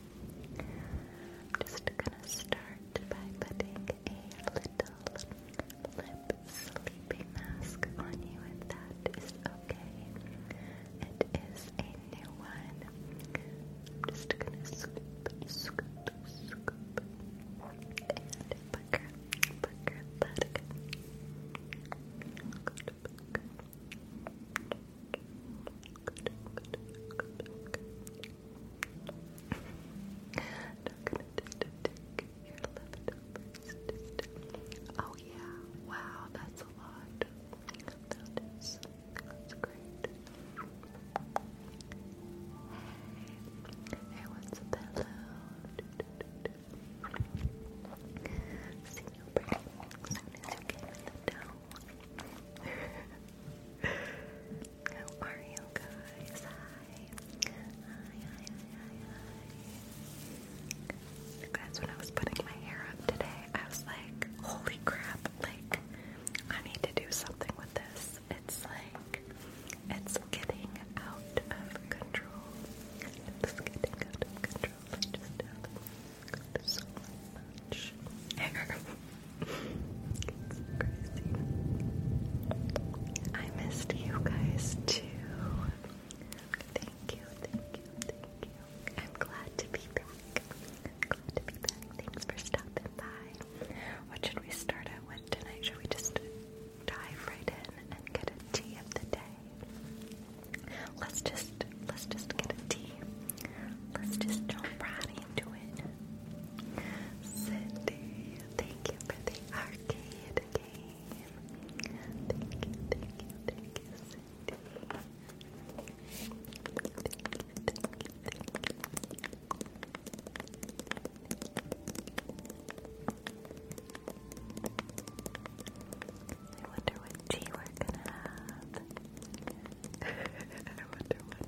I'm just gonna start by putting a little lip sleeping mask on you if that is okay. It is a new one. I'm just gonna scoop, scoop, scoop, and pucker, pucker, pucker going Oh yeah, wow, that's a lot. That is, that's great. Hey, hey, what's a pillow? See you pretty soon as you How are you guys? Hi. Hi, hi, hi, hi. guys, when I was putting my hair up today, I was like, holy crap, like, I need to do something with this. It's like, it's getting out of control. It's getting out of control so much hair. it's crazy. I missed you guys too. Thank you, thank you, thank you. I'm glad to be back. I'm glad to be back. Thanks for stopping by. What should we start out with tonight? Should we just dive right in and get a tea of the day? Let's just let's just get a tea. Let's just jump right in into thank you for the arcade game. Thank you, Thank you, thank you, thank you. I wonder what tea we're gonna have. I wonder what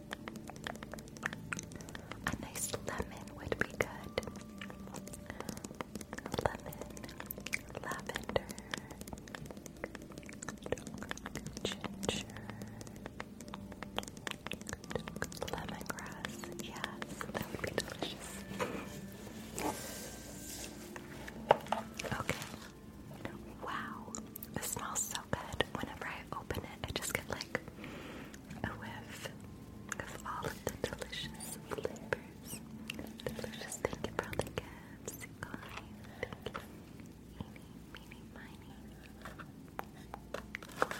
A nice lemon would be good. Lemon, lavender, ginger, lemongrass. Yes, that would be delicious. Okay. Wow. It smells so good. Whenever I open it, I just get like a whiff of all of the delicious flavors. Delicious. Thank you the gifts. Kind. Thank you. Meeny, meeny, oh,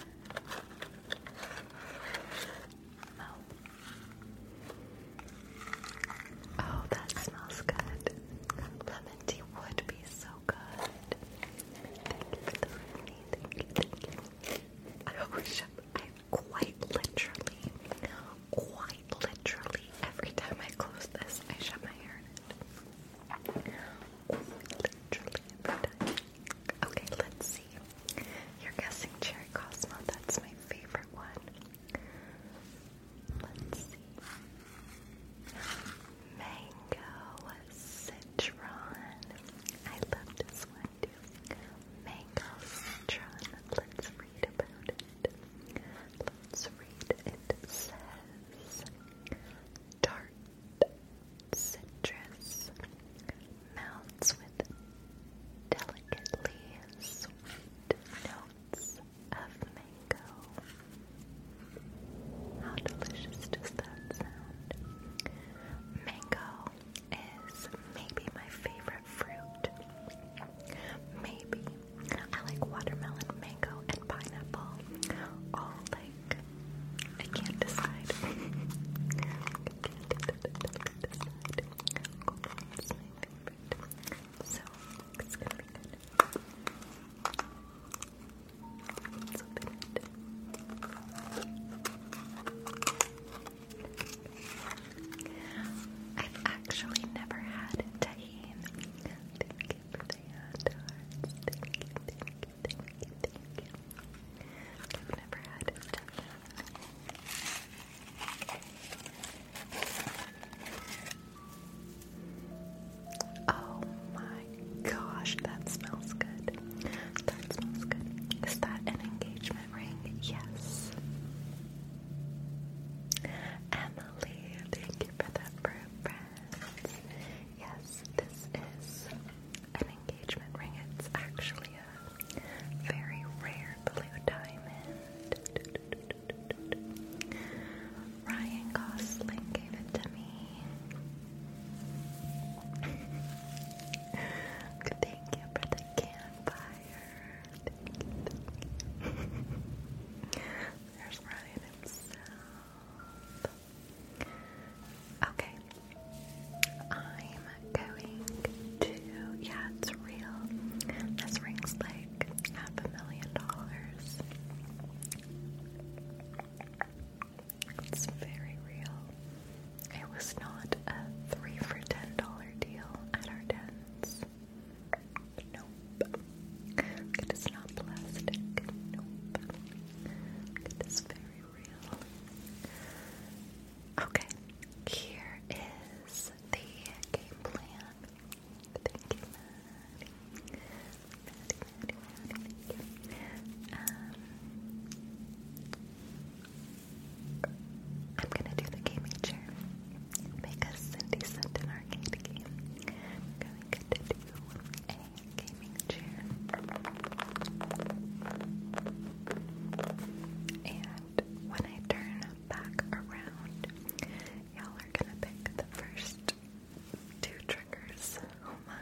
oh, that smells good. Lemon tea would be so good. Thank you, thank you. I wish I quite literally, quite literally, every time I close this, I shut my hair in it. literally every time. Okay, let's see. You're guessing Cherry cosmos. That's my favorite one. Let's see mango citron. I love this one too. Mango citron. Let's read about it. Let's read. It says tart citrus melts with delicately sweet notes of mango. How delicious does that sound? Mango is maybe my favorite fruit. Maybe. I like watermelon, mango, and pineapple. All like, I can't decide. So, it's gonna be good. I've actually never had tahine. Thank you I've never had Oh my gosh, that smells good. That smells good. Is that an engagement ring? Yes. Emily, thank you for that for Yes, this is an engagement ring. It's actually a very rare blue diamond. Ryan Gosling gave it to me. Thank you for the campfire. There's Ryan himself. Okay. I'm going to, yeah, it's real. This ring's like half a million dollars. It's very real. It was not a three for ten dollar deal at our dens. Nope. It is not plastic. Nope. It is very real. Okay, here is the game plan thank um, you. I'm gonna do the gaming chair because Cindy sent an arcade game. I'm going to do a gaming chair. And when I turn back around, y'all are gonna pick the first two triggers. Oh my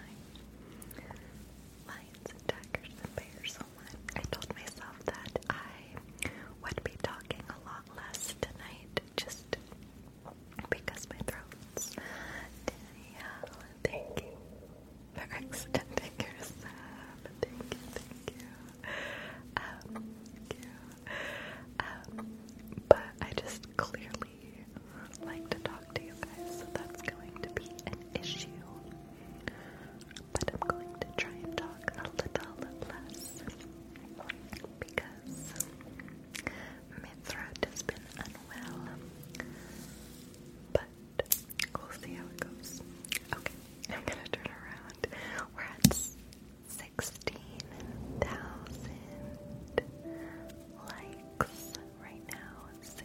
lions and tigers and bears so oh much. I told myself that I would be talking a lot less tonight just because my throat's Danielle, thank you for extending your Thank you, thank you. Um, thank you. Um, but I just clearly really like to talk to you guys, so that's going to be an issue. But I'm going to try and talk a little less because my throat has been unwell. But we'll see how it goes. Okay, I'm gonna turn around. We're at 16,000 likes right now. 16,000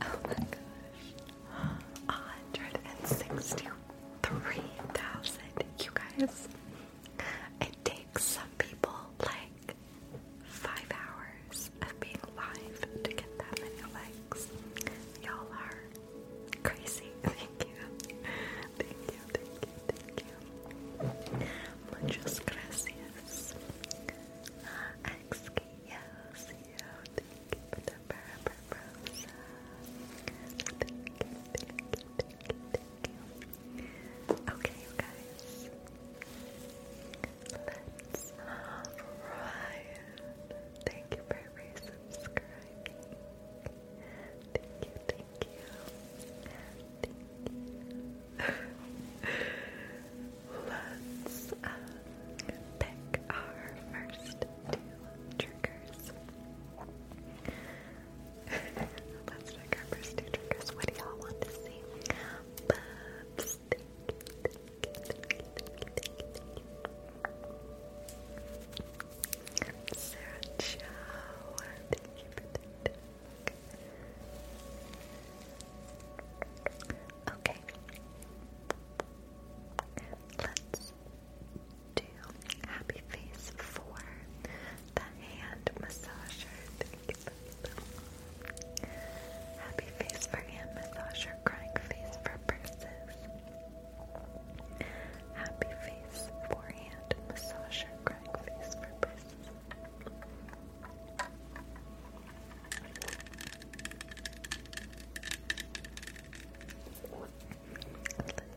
Oh my gosh. 163,000, you guys. It takes some people like five hours of being live to get that many likes. Y'all are Crazy. Thank you. Thank you, thank you, thank you. Muchas gracias. Uh, thank you for the purple rosa. Thank you, thank you, thank you, thank you. Okay, guys. Let's have Thank you for resubscribing. Thank you, Let's pick our first two triggers. Let's pick our first two triggers. What do y'all want to see? Sarah Chow, thank you Okay. Let's do happy face for the hand massager. Happy face for hand massager, crying face for purses. Happy face forehand massager, crying face for breasts.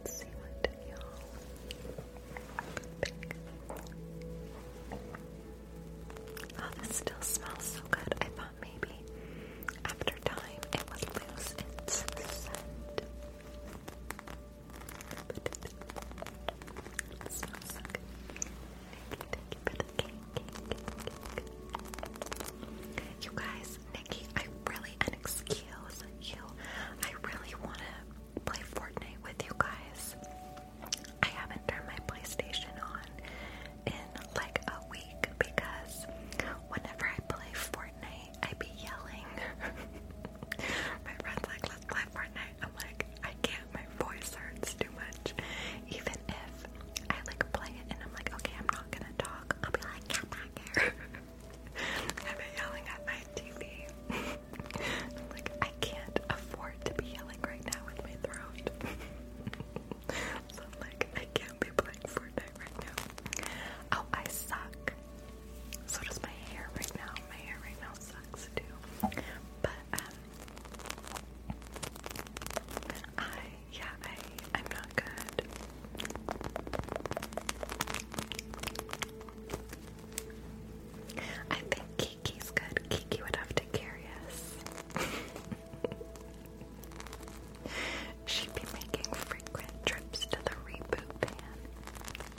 Let's see what y'all pick. Oh, this still smells so good. I thought maybe after time it would lose its scent you, guys, Nikki, I really, and you, I really want to play Fortnite with you guys. I haven't turned my PlayStation on in like a week because whenever I play Fortnite, I'd be yelling. my friend's like, let's play Fortnite. I'm like, I can't, my voice hurts too much. Even if I like play it and I'm like, okay, I'm not gonna talk, I'll be like, get back here. I've yelling at my TV. like, I can't afford to be yelling right now with my throat. so I'm like, I can't be playing Fortnite right now. Oh, I suck. So does my hair right now. My hair right now sucks too. But um yeah, I I'm not good. I think Kiki's good. Kiki would have to carry us. She'd be making frequent trips to the reboot van.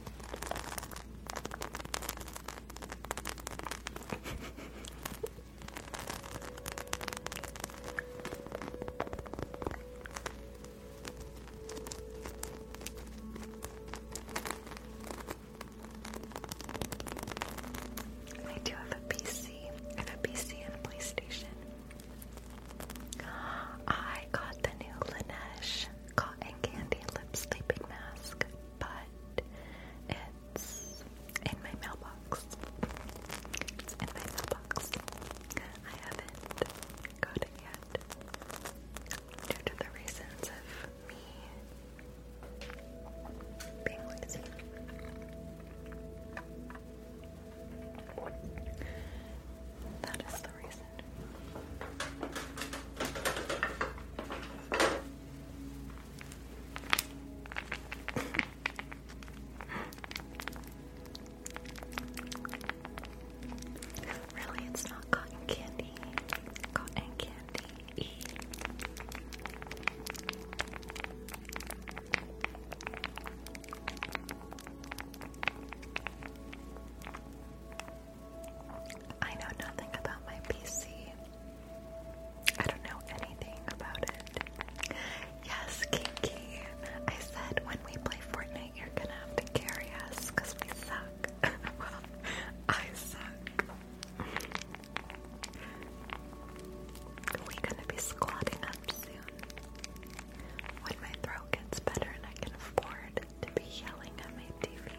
I do have a PC. I have a PC and a PlayStation. I got the new Laneige cotton candy lip sleeping mask, but it's in my mailbox. It's in my mailbox. I haven't got it yet due to the reasons of me being lazy. That is the reason. Really, it's not cotton candy. Cotton candy. I know nothing about my PC. I don't know anything about it. Yes, Kinky. I said when we play Fortnite, you're gonna have to carry us because we suck. well, I suck. we gonna be squatting up soon. When my throat gets better and I can afford to be yelling at my TV.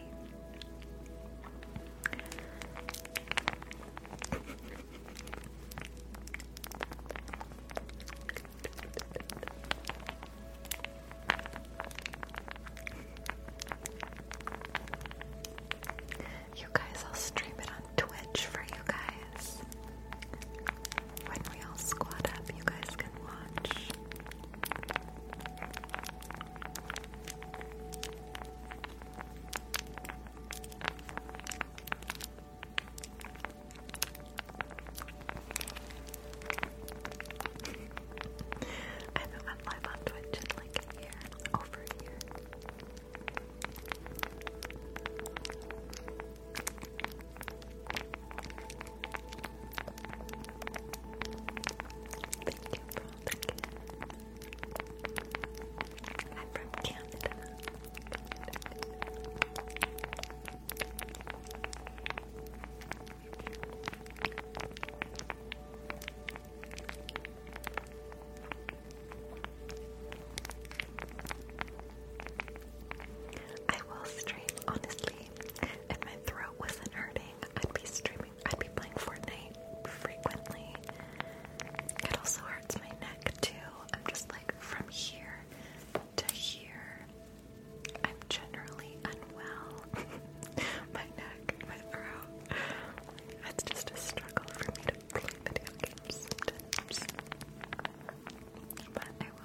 You guys, I'll stream it on Twitch for you guys. When we all squad up, you guys can watch. I haven't went live on like a over a I'm from Canada. I will stream honestly if my throat wasn't hurting. I'd be streaming. I'd be playing Fortnite frequently. It also hurts my neck too. I'm just like from here to here. I'm generally unwell. my neck, my throat. It's just a struggle for me to play video games But I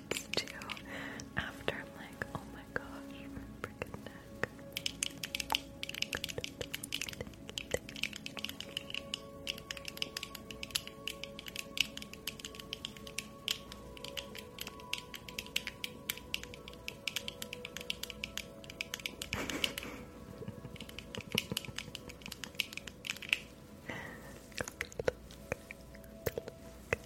happens too after. I'm like, oh my gosh,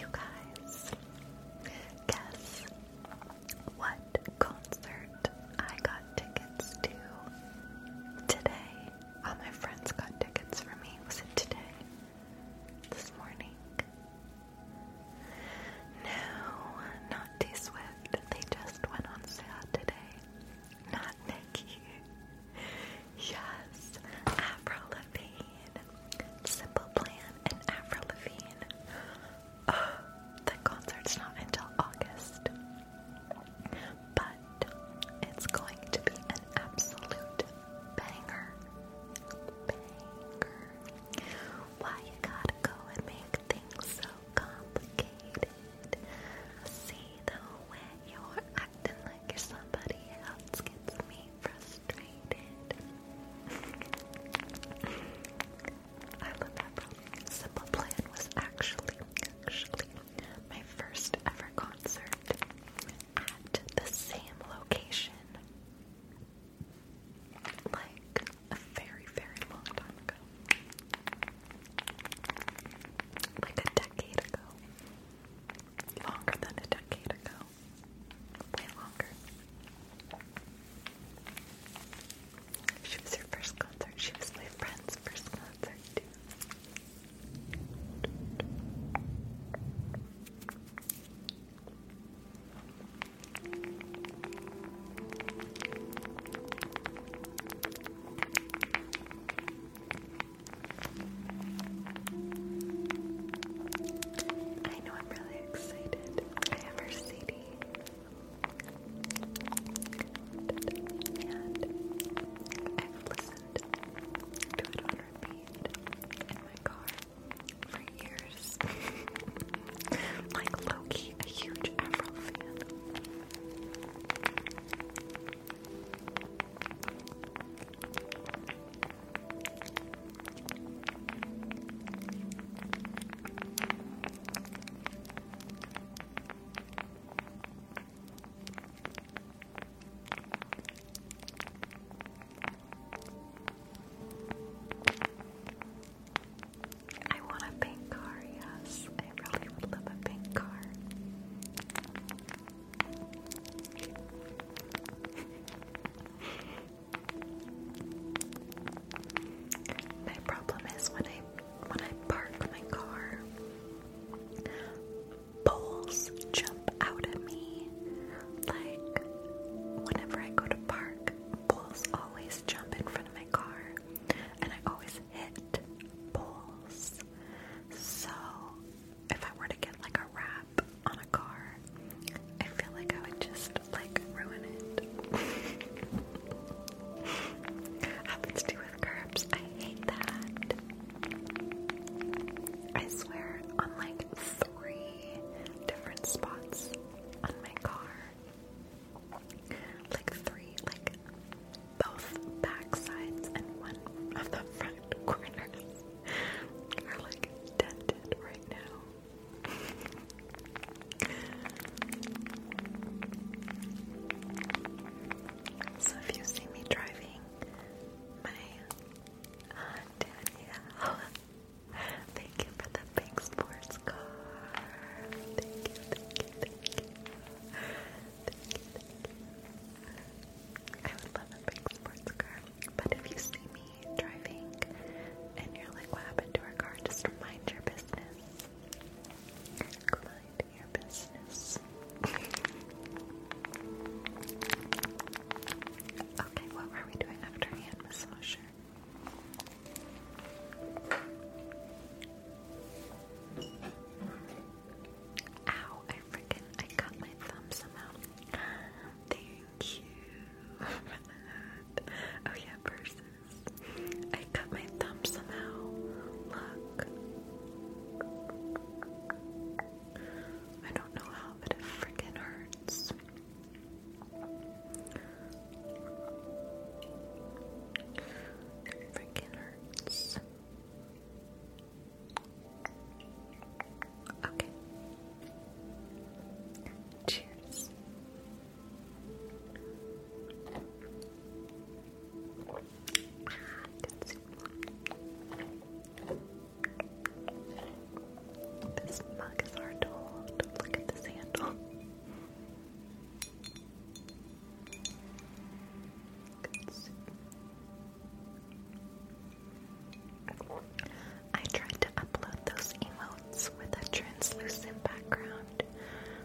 You guys, guess what concert I got tickets to today? All my friends got tickets for me. Was it today? This morning? No, not T Swift. They just went on sale today. Not Nikki. Yes, Avril Lavigne. Simple Plan and Avril Lavigne. Oh, the concert's not until August. But it's going to be an absolute banger. Why you gotta go and make things so complicated? See the way you're like you're somebody else gets me frustrated. I love that Simple Plan was actually, actually my first ever concert at the same location like a very, very long time ago. Like a decade ago. Longer than a decade ago. Way longer. She was her first concert. She was my friend's first concert, too. I know I'm really excited. I have a CD. And I've listened to it on repeat in like Loki, a huge Avril fan. I want a pink car, yes. I really would love a pink car. My problem is when I when I park my car, bowls jump out at me. Like, whenever I go to park, bowls always jump in front of my car, and I always hit bowls. So, if I were to get like a wrap on a car, I feel like I would just like ruin it. Happens to you with curbs. I hate that. I swear, on like three different spots on my car. Like three, like both back sides and one of the front corners are like dented right now. So if you see me driving, my Danielle, thank you for the big sports car. I would love a big sports car. But if you see me driving and you're like, what happened to our car? Just Mind your business okay, what were we doing after hand massager? Ow, I freaking I cut my thumb somehow. Thank you Oh yeah, purses. I cut my thumb somehow. Look. I don't know how, but it freaking hurts. It hurts. Okay. Cheers. This mug is hard to hold. Look at this handle. I tried to upload those emotes with a translucent background,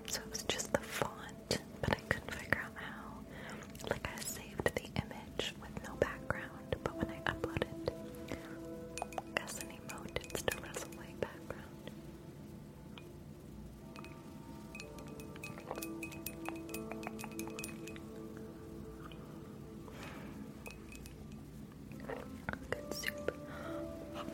so it was just the font, but I couldn't figure somehow. Like I saved the image with no background, but when I upload it as it still has a white background. Good soup. Hot.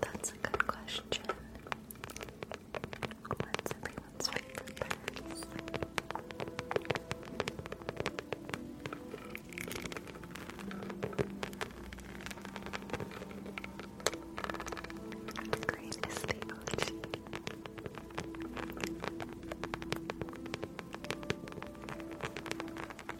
That's a good question. What's everyone's favorite birds? Green is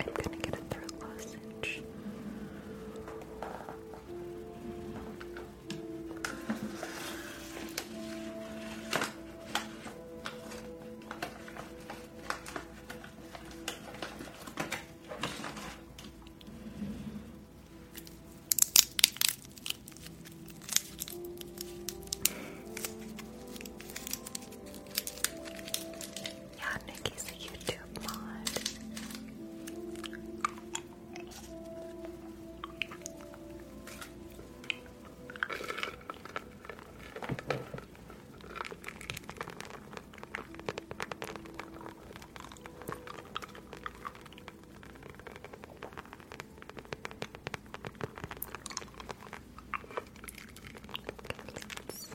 I'm gonna get a throat lozenge. Yeah, Nikki's a YouTube mod.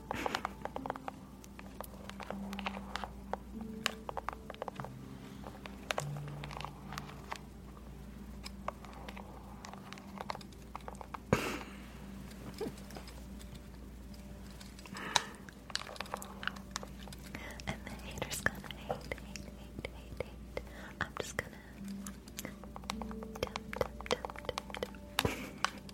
and the haters gonna hate, hate, hate, hate, hate. I'm just gonna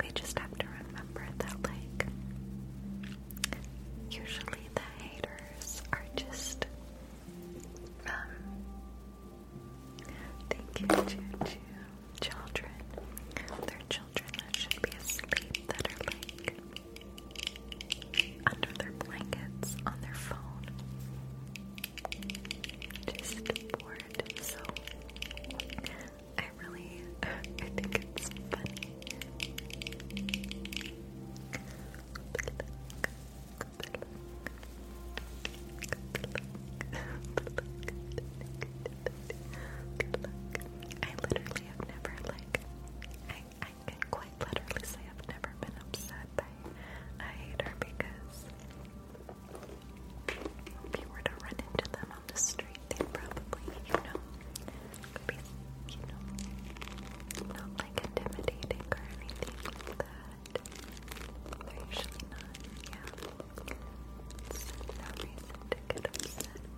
We just have to remember that, like, usually the haters are just, um, thank you, to children. They're children that should be asleep that are like under their blankets on their phone just bored, so I really, I think it's funny. I literally have never like I can quite literally say I've never been upset by a hater because if you were to run into them on the street, they'd probably, you know, be, you know, not like intimidating or anything like that. They're usually not, yeah. It's no reason I just laugh.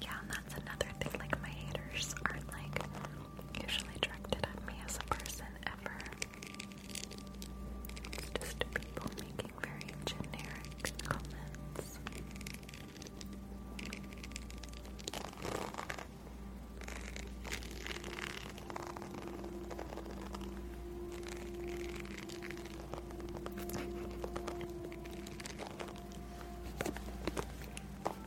Yeah, and that's another thing. Like my haters aren't like usually directed at me as a person ever. Just people making very generic comments.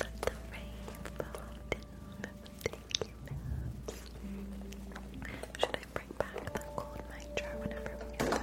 Let the rain fall down Should I bring back the gold mic jar whenever we get that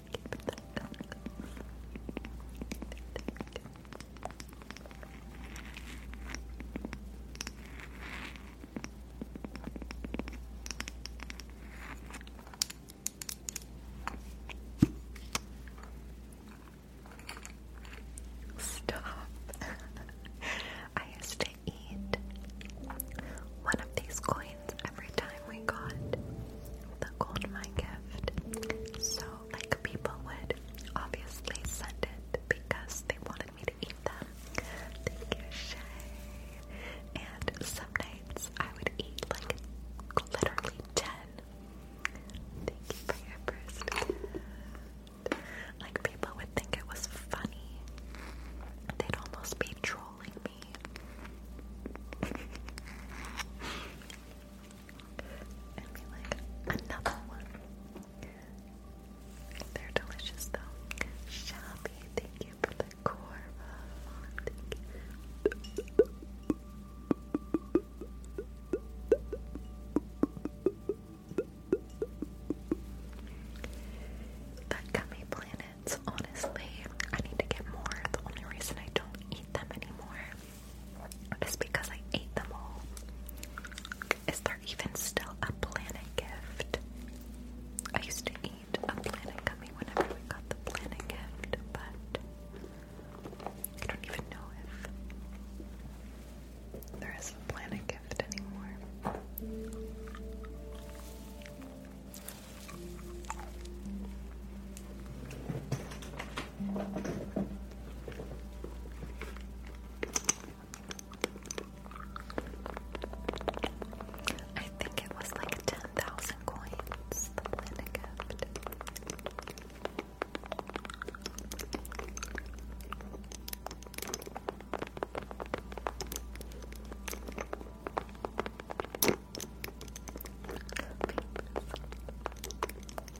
Stop. I used to eat one of these coins every time we got the gold mine gift. So like people would obviously send it because they wanted me to eat them. Thank you, Shay. And some nights I would eat like literally ten. Thank you for your first Like people would think it was funny. They'd almost be trolling me. and be like, another one. They're delicious though. Shabby, thank you for the korma. That gummy planets, honestly, I need to get more. The only reason I don't eat them anymore is because I ate them all. Is there even still a planet gift? I used to eat a planet gummy whenever we got the planet gift, but I don't even know if there is a planet gift anymore. I think it was like 10,000 coins, the planet kept.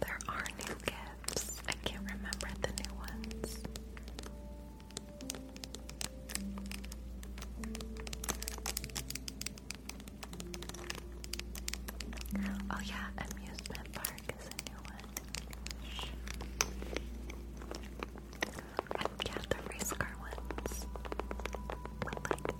There are new gifts. I can't remember the new ones. Oh yeah, amusement park is a new one. And yeah, the race car ones.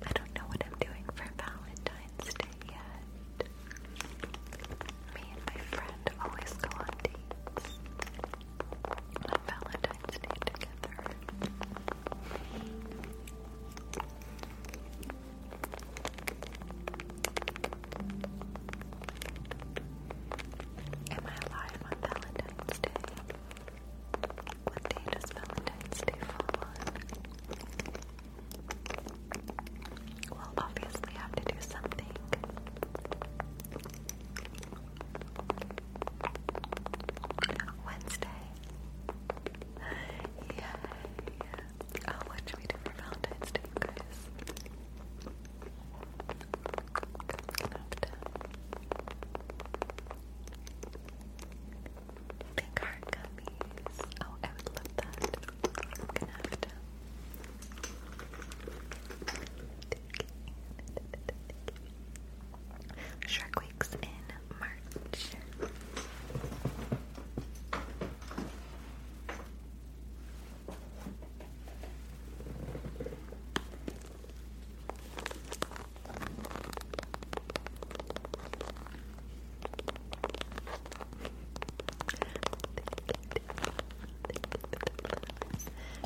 I don't know what I'm doing for Valentine's Day yet. Me and my friend always go on dates on Valentine's Day together. Am I alive on Valentine's Day? What day does Valentine's Day fall on? We'll obviously have to do something Wednesday. Yay. Oh, what should we do for Valentine's Day, you guys? Pink heart gummies. Oh, I would love that. i to Shark Week's in March.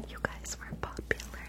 You guys were popular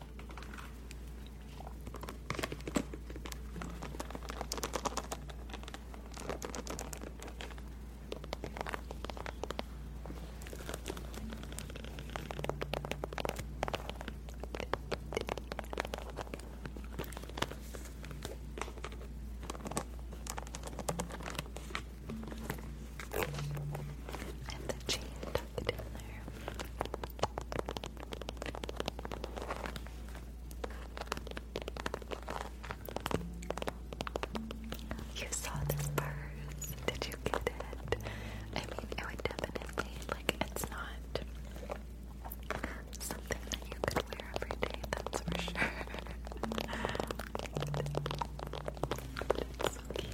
And the cheese you saw this purse. Did you get it? I mean, it would definitely, like, it's not something that you could wear every day, that's for sure. It's so cute.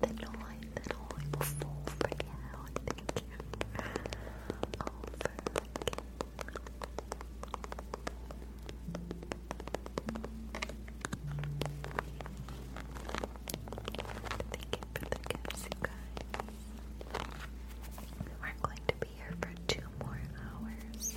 be the noise that only will fall for now. Thank you for overlooking. Thank you for the gifts, guys. We're going to be here for two more hours.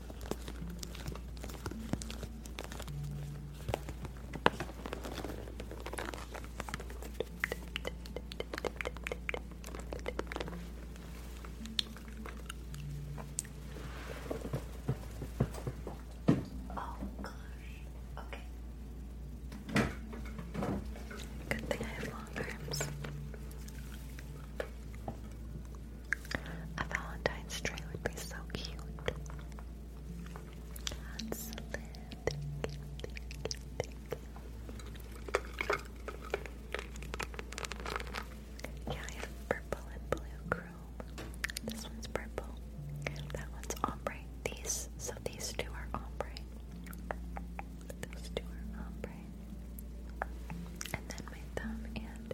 Oh gosh. Okay. Good thing I have long arms. A Valentine's tree would be so cute. Yeah, I have purple and blue chrome. This one's purple. That one's ombre. These, so these two are ombre. Those two are ombre. And then my thumb and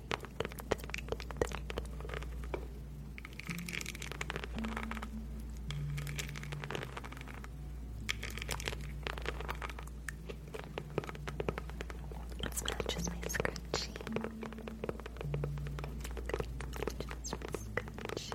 It's not just my scrunchie. Just my scrunchie.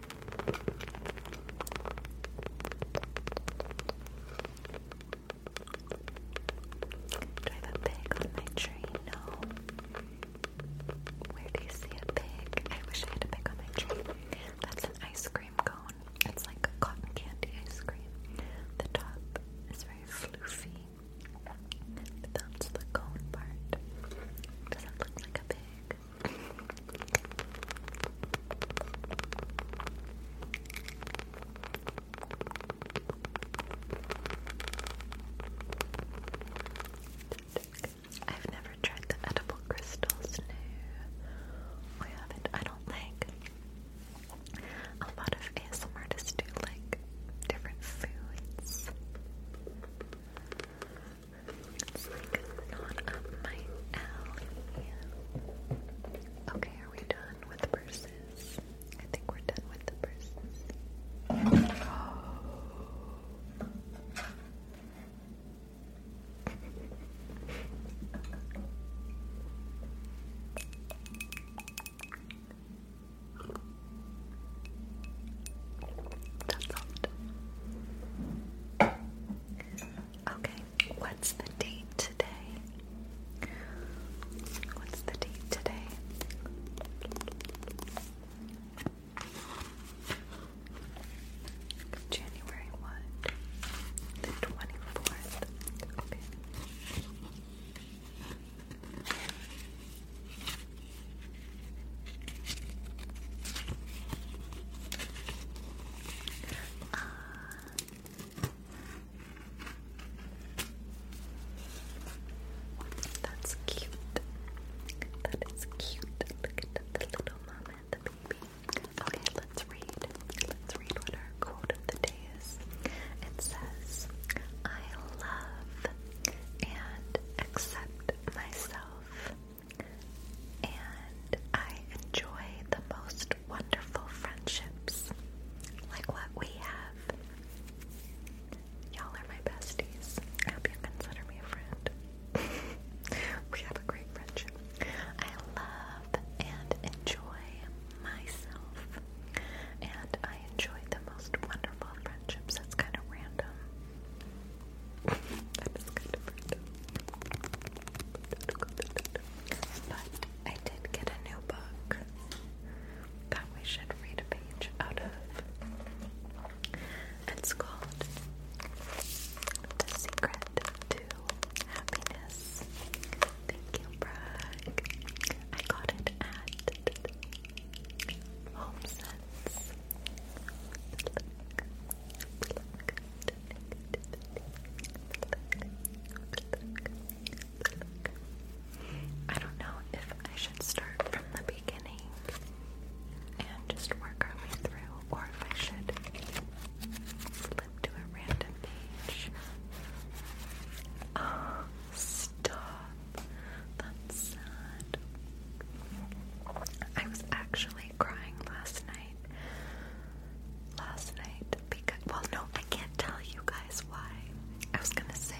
Do I have a pig on my tree? No. Where do you see a pig? I wish I had a pig on my train. That's an ice cream cone. It's like a cotton candy ice cream. The top is very floofy. That's the cone part. Doesn't look like a pig. I've never tried the edible crystals, no. Oh, I haven't, I don't think. A lot of ASM artists do like different foods. Okay, are we done with the I think we're done with the purses. Okay. What's the date today? What's the date today? January 1, the 24th. Okay. Uh, that's cute. That is cute. Look at the, little mama and the baby. Okay, let's read. Let's read what our quote of the day is. It says, I love and accept myself. And I enjoy the most wonderful friendships, like what we have. Y'all are my besties. I hope consider me a friend. we have a great friendship. I love and enjoy myself, and I enjoy the most wonderful friendships. That's kind of random. that is kind of random. But I did get a new book that we should read a page out of. It's called The Secret to Happiness. Thank you, Bragg. I got it at HomeSense. I don't know if I should start from the beginning and just work our way through, or if I should flip to a random page. Ah, stop. That's sad. I was actually crying last night. Last night, because well, no, I can't tell you guys why. I was gonna say,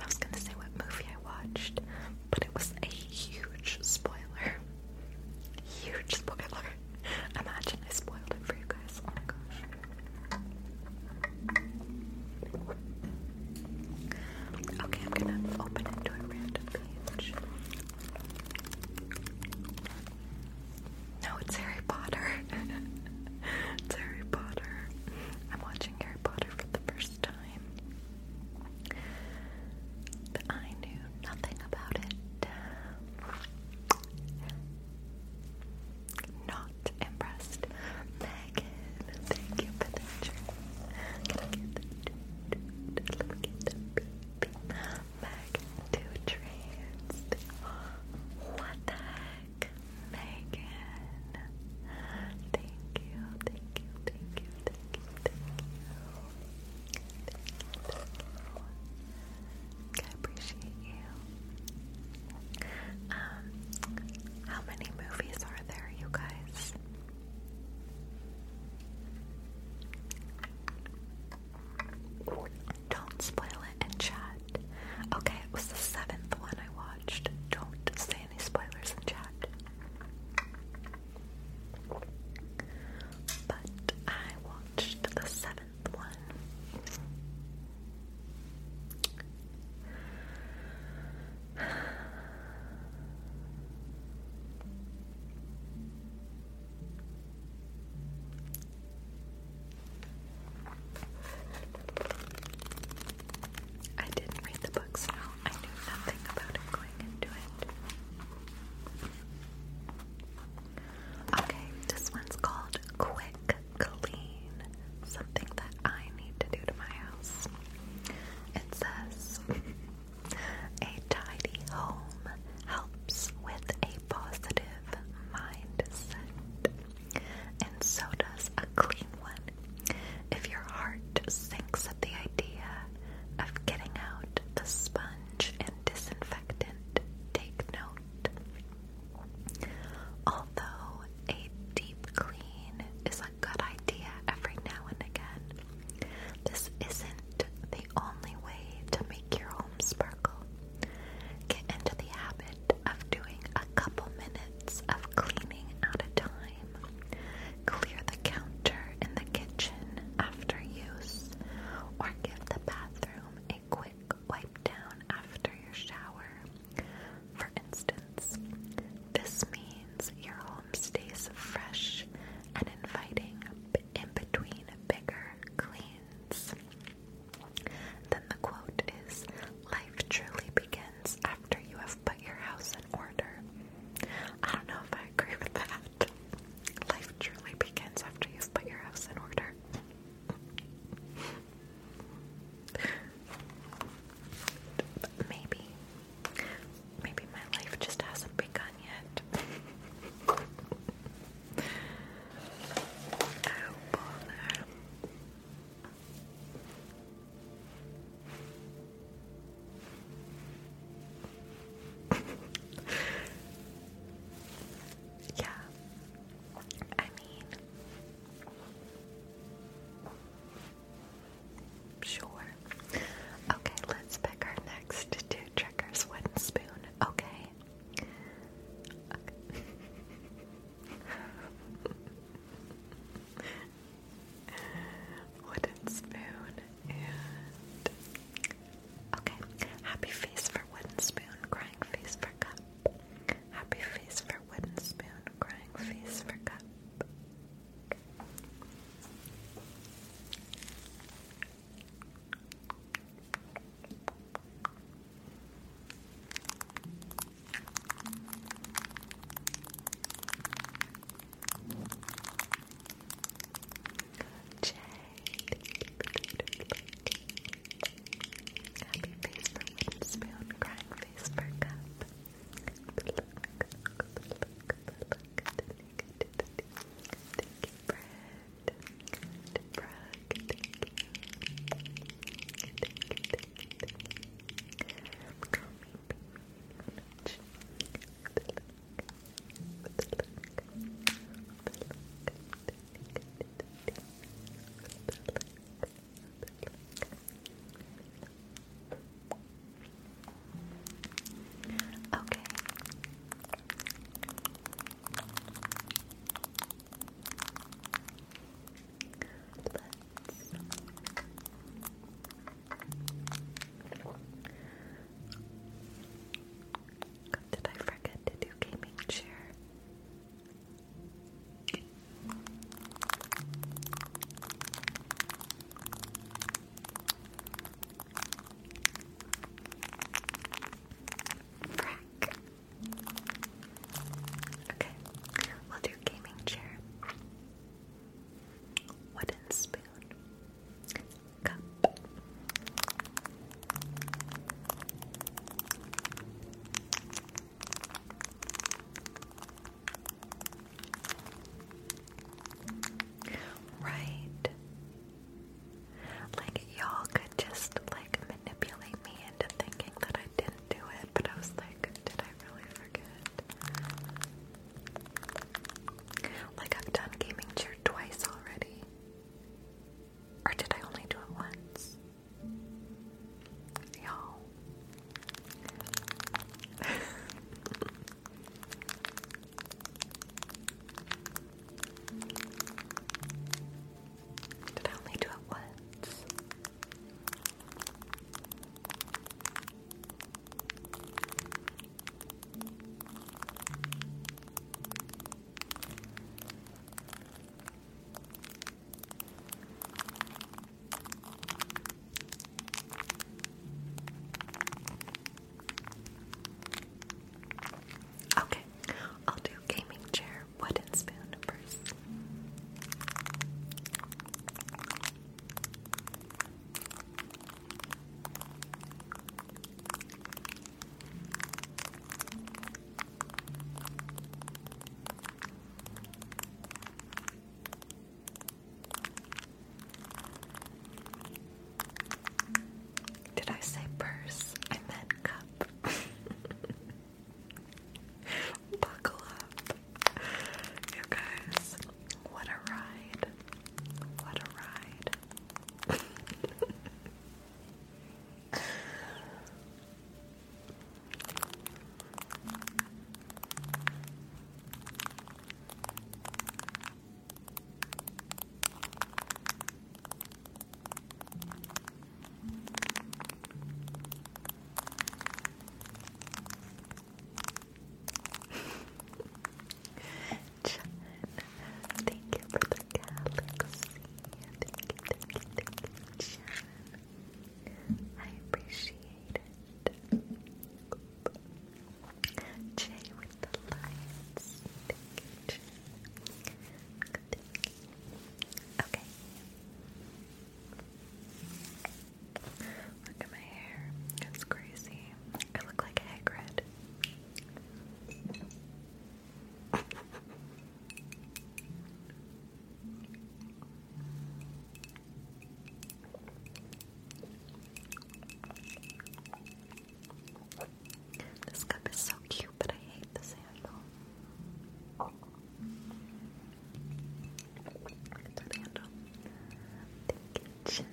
I was gonna say what movie I watched, but it was a huge spoiler. Huge spoiler. Imagine I spoiled it for you guys. Oh my gosh. Okay, I'm gonna open it to a random page. No, it's Harry Potter. Harry Potter. I'm watching Harry Potter for the first time. I knew nothing about it. Not impressed. Megan, thank you for the drink. Can I get the, let me get the beep, back to trance. What the heck, Megan? Thank you, thank you, thank you, thank you. Thank you, thank you. I appreciate you. Um, how many movies are there, you guys? Don't spoil it and chat. Okay, it was the seventh one I watched. Don't say any spoilers in chat. But I watched the seventh one. I didn't read the books. so I knew nothing about going into it. Okay, this one's called Quick Clean. Something that I need to do to my house. It says a tidy home helps with a positive mindset. And so does a clean one. If your heart sinks at the idea of getting out the sponge and disinfectant, take note. Although a deep clean is a good idea every now and again, this isn't the only way to make your home sparkle. Get into the habit of doing a couple minutes of cleaning at a time. Clear the counter in the kitchen after use, or give the bathroom a quick wipe down after your shower. For instance, this means your home stays fresh and inviting in between bigger, clean then the quote is Life truly begins after you have put your house in order. I don't know if I agree with that. Life truly begins after you've put your house in order. maybe, maybe my life just hasn't begun yet. yeah. I mean, sure. Okay, let's pick our next two triggers. Wooden spoon. Okay, Wooden spoon okay. Happy face for wooden spoon, crying face for cup. Happy face for wooden spoon, crying face for cup. Jay, happy face for wooden crying face for cup. Thank you, Brad. Good, Brooke. Thank you. Thank you, thank you, thank you. Okay. Let's did I forget to do gaming chair? Frack. Okay, we'll do gaming chair, wooden spoon, cup. Right. Like, y'all could just, like, manipulate me into thinking that I didn't do it, but I was like, did I really forget? Like, I've done Gaming Cheer twice already. Or did I only do it once? Y'all. Did I only do it once? Okay, I'll do gaming chair your wooden spoon first. Did I say purse? I meant cup. Buckle up. You guys, what a ride. What a ride. John, thank you for the galaxy. Thank you, thank you, thank you, John. I appreciate it. Jay with the lights. Thank you, John. Thank you, Okay. Look at my hair. It's crazy. I look like Hagrid. This cup is so cute, but I hate the handle. It's a handle. The kitchen.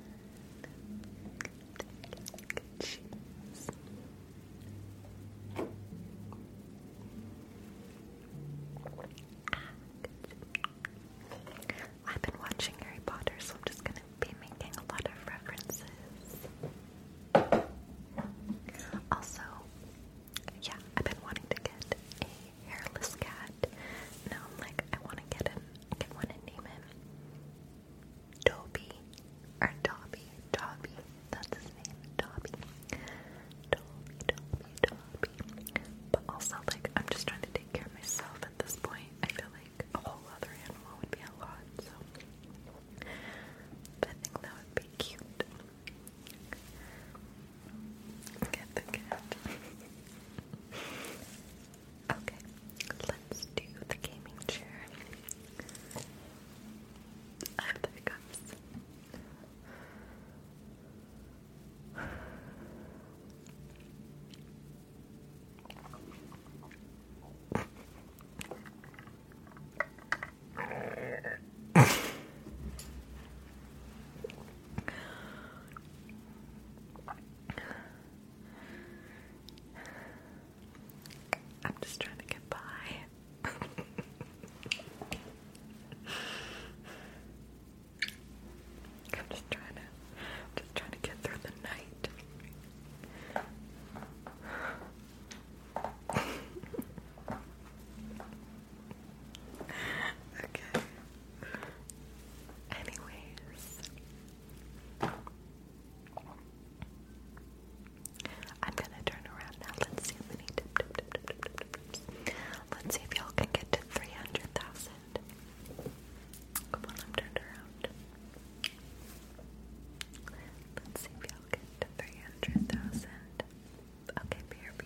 The kitchens. I've been watching Harry Potter, so I'm just gonna be making a lot of references. Also, yeah, I've been wanting to get a hairless cat. Now I'm like, I want to get him, get one and name him Dobby or Dobby, Dobby. That's his name, Dobby. Dobby, Dobby, Dobby. But also, like, I'm just trying to take care of myself at this point. I feel like a whole other animal would be a lot, so I think that would be cute. Get the cat. okay, let's do the gaming chair. I have the I'm just trying to get by. I'm just trying to just trying to get through the night okay. Anyways, I'm gonna turn around now. Let's see how many Let's see if y'all can get to 300,000. Come on, I'm turned around. Let's see if y'all get to 300,000. Okay, BRB.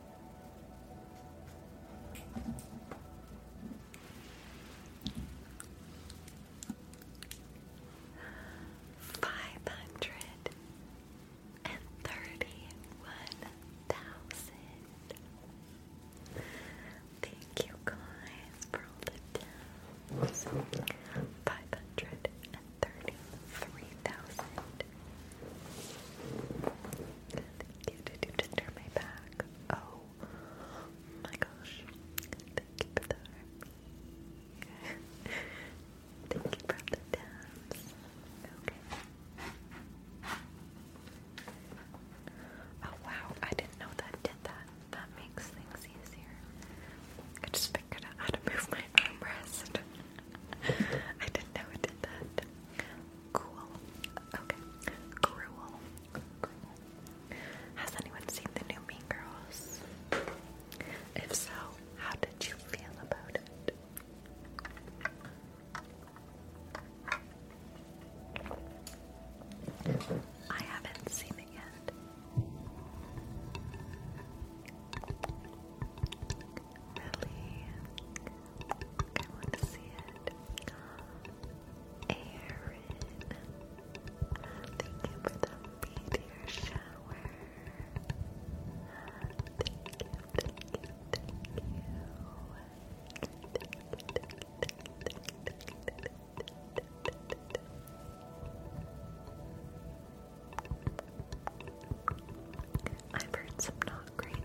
Five hundred and thirty one thousand. Thank you guys for the Five hundred and thirty three thousand Thank you. Did you just turn my back? Oh my gosh. Thank you for the army. Thank you for the tabs. Okay. Oh wow, I didn't know that did that. That makes things easier. I just figured out how to move my armrest. I didn't know it did that. Cool. Okay. Cruel. Cruel. Has anyone seen the new Mean Girls? If so, how did you feel about it? I haven't seen it yet. Lily. I want to see it. Aaron. Thank you for the meteor shower. thank you, thank you, thank you. I've heard some not great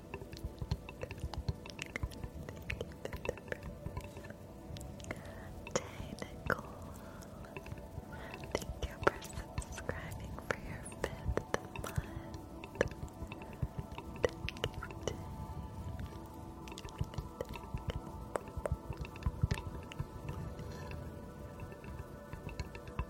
Nicole. Thank you for subscribing for your fifth month. Thank you.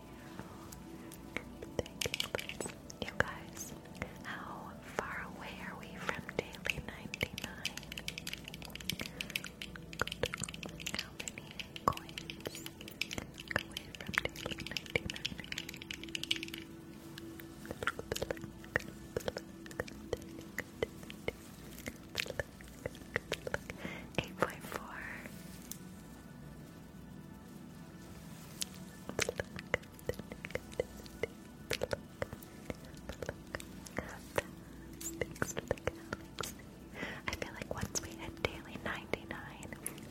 Thank you. guys, how far away are we from daily 99? How many coins away from daily 99? Eight point four. I feel like once we hit daily 99,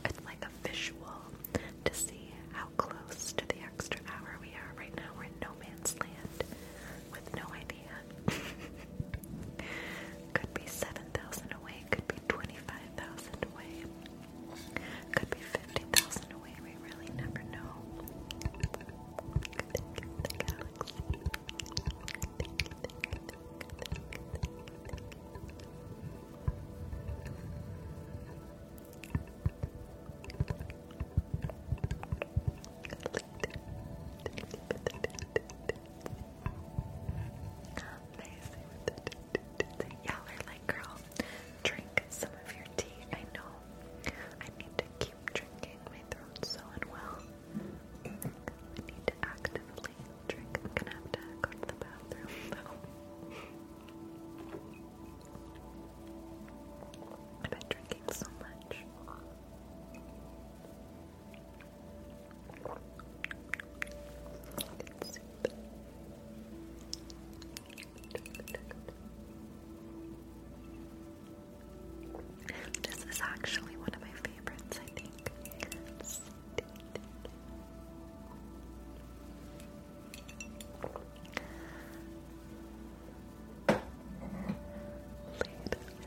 it's like a visual to see how close to the extra hour we are right now. We're in no man's land with no idea. Could be 7,000 away away, could be 25,000 away, could be 50,000 away. We really never know. Amazing. like, girl, drink some of your tea. I know. I need to keep drinking. My throat's so unwell. I need to actively drink. I'm gonna have to go to the bathroom I've been drinking so much. It's This is actually one of my favorites, I think.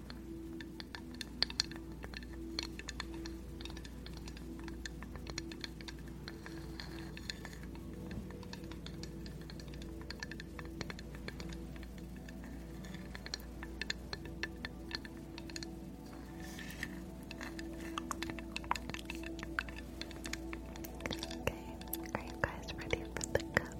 Okay, are you guys ready for the cup?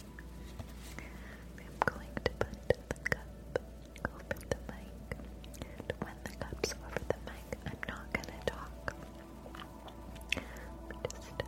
I'm going to put the cup over the mic. And when the cup's over the mic, I'm not gonna talk. I'm just going to listen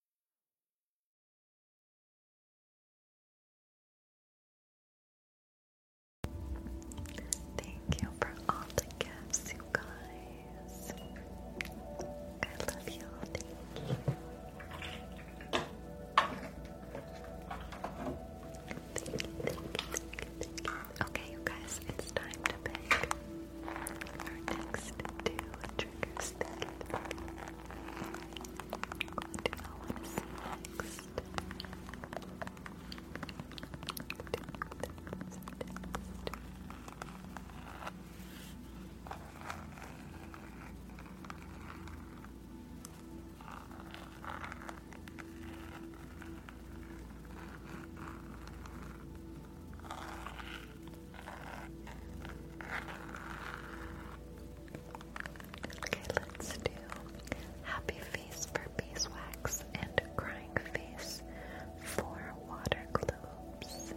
Thank you for all the gifts, you guys. I love you Okay, you guys, it's time to pick. Our next two triggers What do I want to see Next, Okay, let's do happy face for beeswax and crying face for water globes.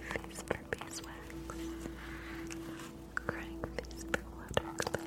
Happy face for beeswax. Crying face for water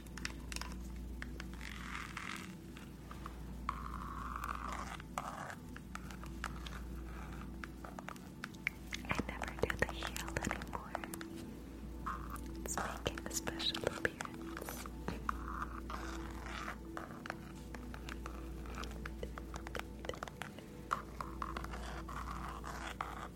I never do the heel anymore. It's making a special appearance.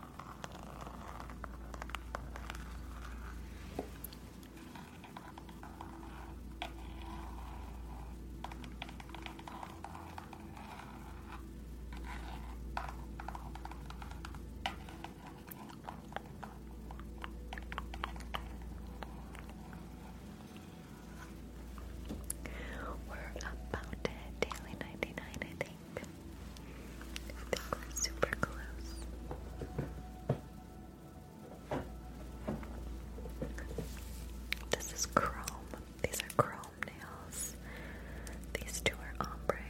We're about to hit daily 99, I think. I think we're super close. This is chrome. These are chrome nails. These two are ombre.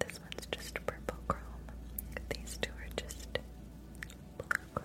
This one's just purple chrome. These two are just blue chrome.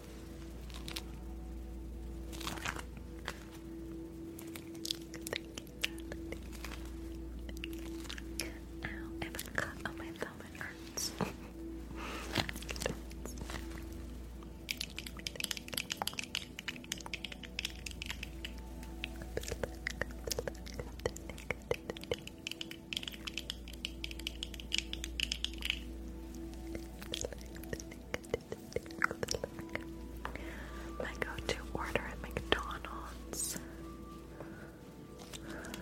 Ow, oh I have a cut on my thumb, it hurts. My go-to order at McDonald's. McDonald's.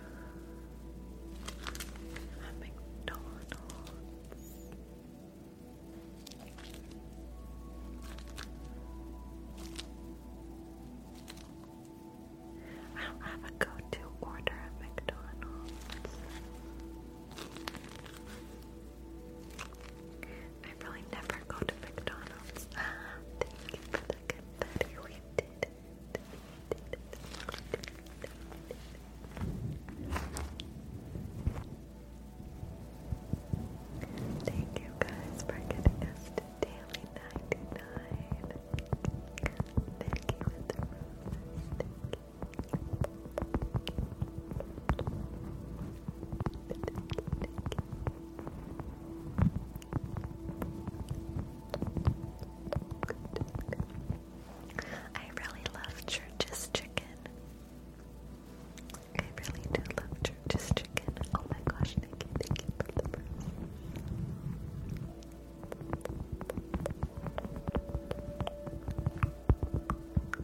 I don't have a go-to order at McDonald's. I really never go to McDonald's. Thank you for the confetti. We did did Thank you guys for getting us to daily 99. Thank you. I really love Church's chicken. I really do love Church's chicken. Oh my gosh, thank you, we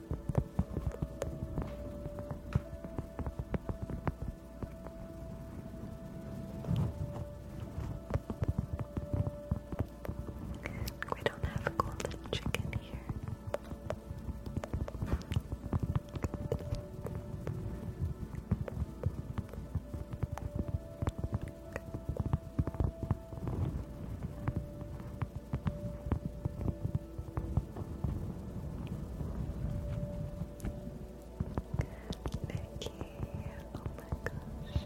don't have golden chicken here. Nikki, oh my gosh.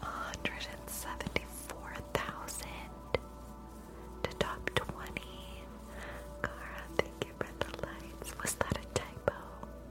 Hundred and seventy-four thousand to top twenty. Cara, thank you for the lights. Was that a typo?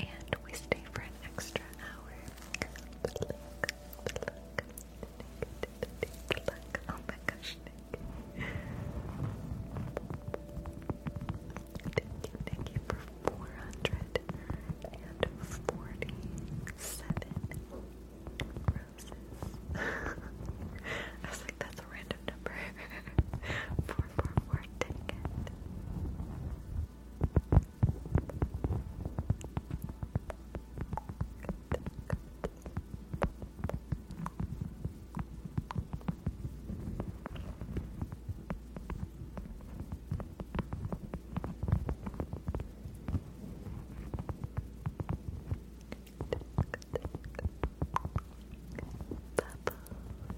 and we stay for an extra hour. Oh thank you, thank you for 447 roses. I was like, that's a random number four, four, four ticket. Good, good, good. Bubbles,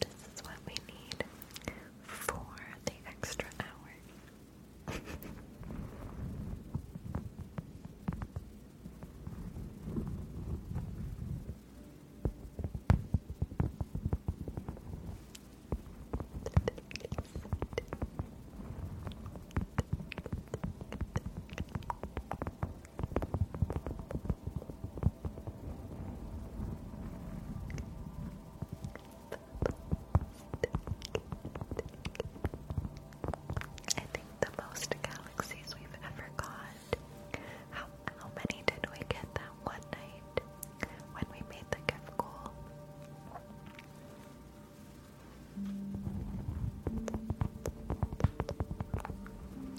This is what we need for the extra hour. I think the most galaxies we've ever got. How how many did we get that one night when we made the gift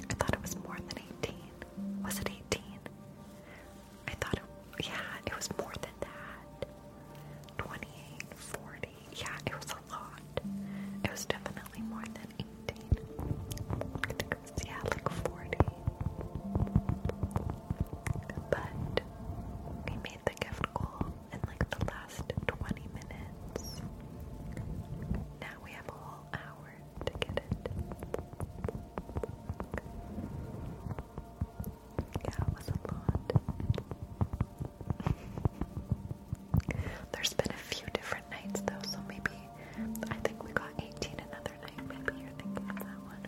I thought it was more than 18. Was it 18? I thought yeah, it was more than that. 28, Yeah, it was a lot. It was definitely more than 18 yeah, like 40. But we made the gift goal in like the last 20 minutes. Now we have a whole hour to get it. Yeah, it was a lot. There's been a few different nights though, so maybe I think we got 18 another night. Maybe you're thinking of that one.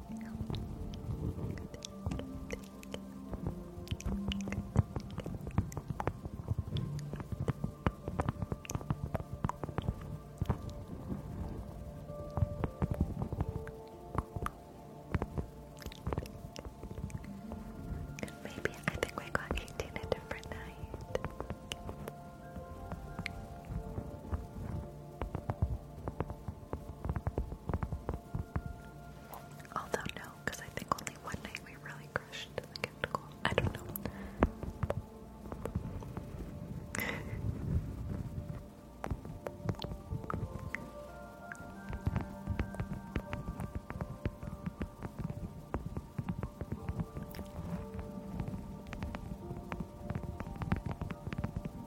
Maybe I think we got 18 a different night. Although no, because I think only one night we really crushed the skeptical. I don't know.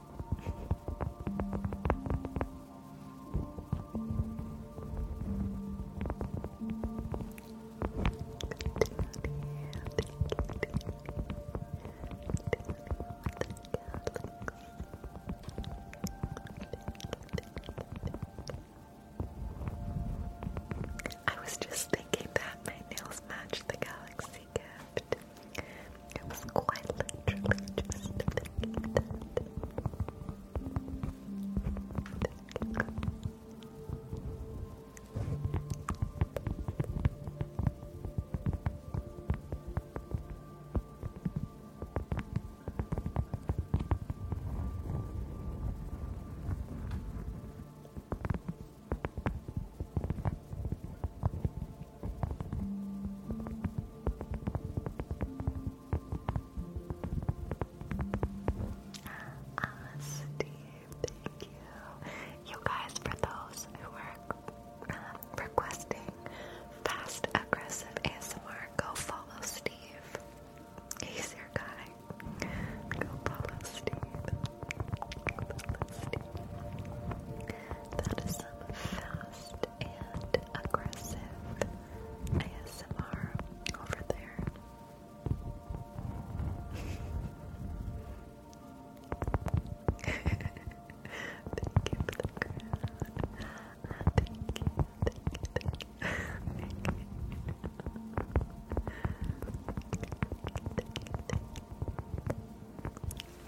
I was just thinking that my nails match the galaxy gift. It was quite literally just thinking that. Steve, thank you. You guys, for those who are um, requesting fast, aggressive ASMR, go follow Steve. He's your guy. Go follow Steve. That is some fast and aggressive ASMR over there. thank you for the crown.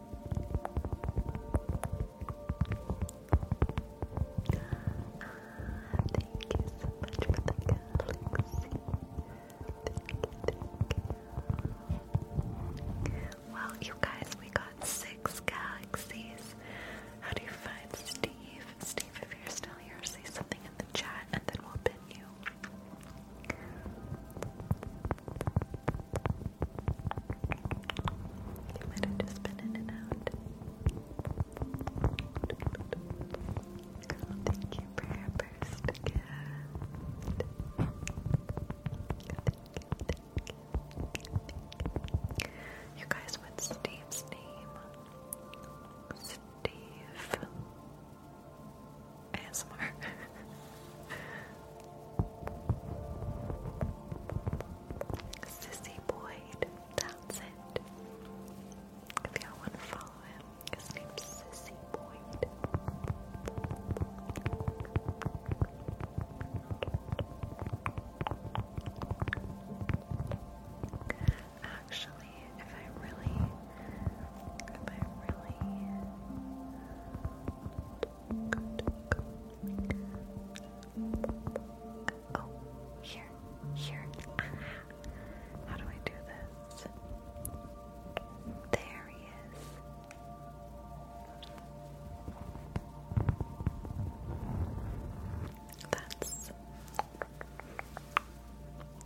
Thank you so much for the galaxy. Well, you guys, we got six galaxies. How do you find Steve? Steve, if you're still here, say something in the chat and then we'll pin you. You might have just been in and out. Girl, thank your first gift. You guys, what's Steve's name? Steve. ASMR. Sissy Boyd, that's it. If y'all want to follow him, his name's Sissy Boyd. Actually, if I really, if I really Oh, here, here. Ah. how do I do this? There he is. That's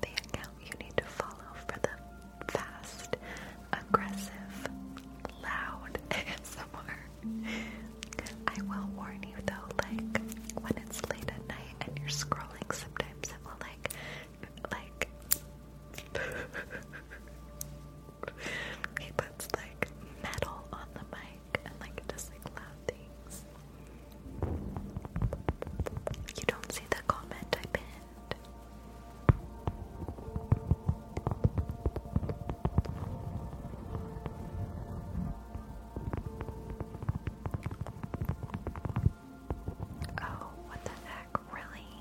the account you need to follow for them fast, aggressive, loud and ASMR. I will warn you though, like when it's late at night and you're scrolling, sometimes it will like, like, he puts like metal on the mic and like it does like loud things. You don't see the comment I pinned. Oh, what the heck, really?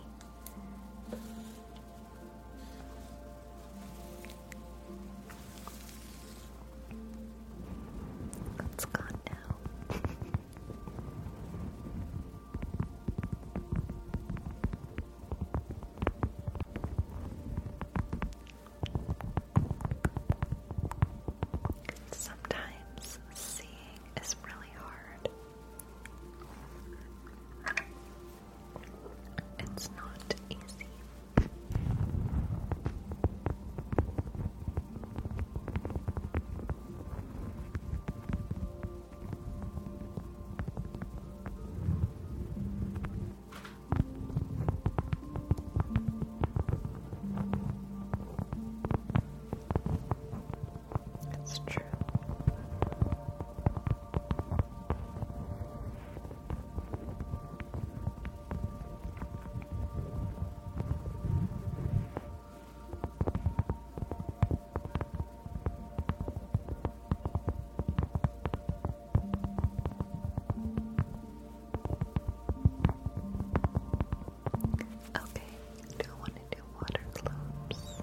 It's gone now. Sometimes seeing is really hard. It's not easy. It's true. Okay, do I want to do water globes?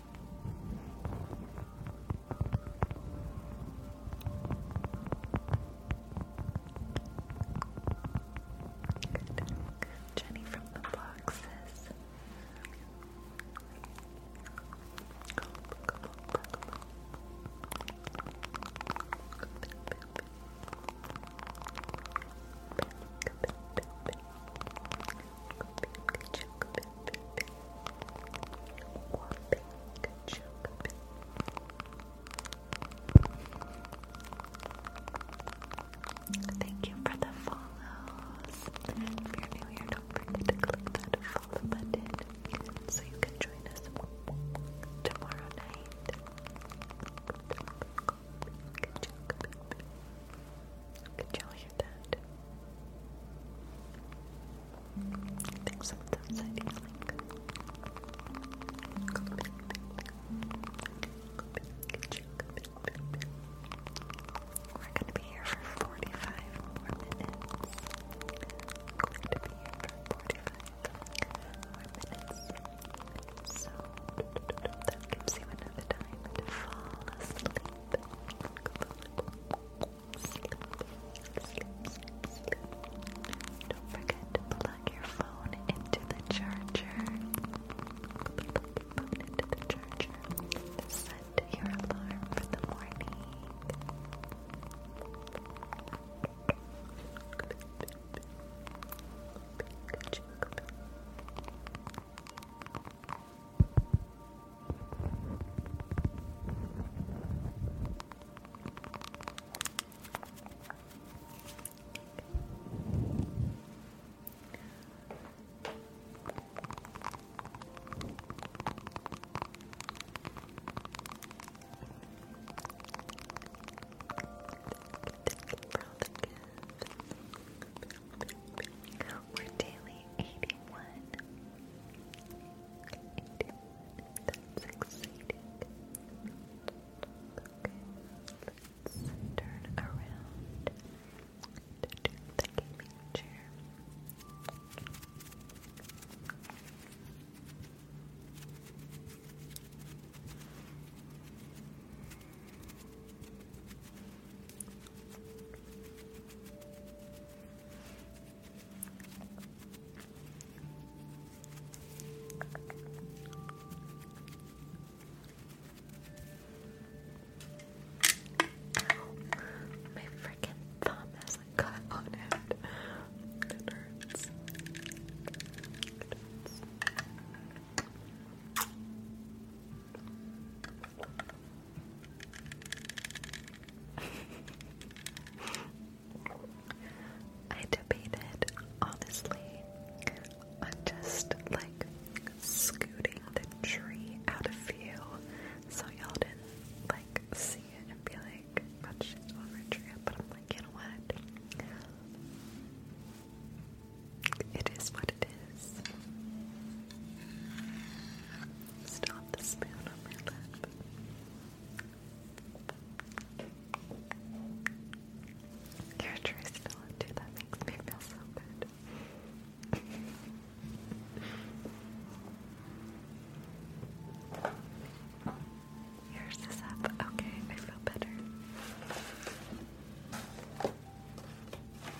Jenny from the boxes. Thank you for the follows. If you're new here, don't forget to click that follow button so you can join us tomorrow night. Could y'all hear that? I think someone's outside We're gonna be here for 45 more minutes. We're going to be here for 45 more minutes. So that gives you enough time to fall asleep. Don't forget to plug your phone into the charger. into the charger. Set your alarm for the morning. Thank you for all the gifts or daily 81. 81. That's exciting. let's turn around to do the gaming Ow. My freaking thumb has a cut on it. It hurts. I debated, honestly, just like scooting the tree out of view so y'all didn't like see it and be like, oh shit, over tree. But I'm like, you know what? It is what Stop the spoon on my lap. You're still into that makes me feel so good. Yours is up. Okay, I feel better.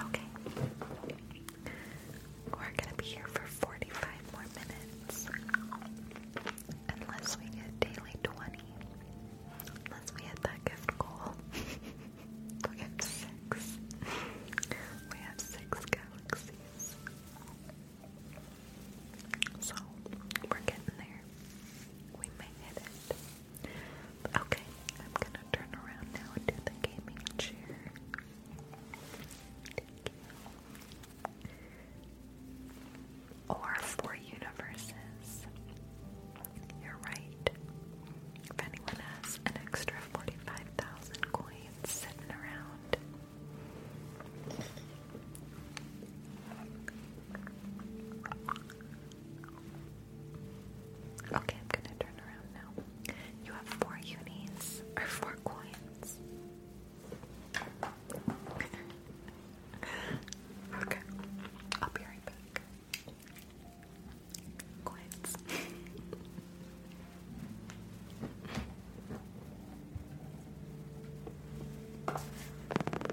Okay. We're gonna be here for 45 more minutes. Unless we get daily 20. Unless we hit that gift goal. we have six. We have six galaxies. So, we're getting there. We may hit it. Okay, I'm gonna turn around now and do the gaming chair. Or four universes. You're right. If anyone has an extra 45,000 coins sitting around, Okay, I'm gonna turn around now. You have four unis or four coins. okay, I'll be right back. Coins.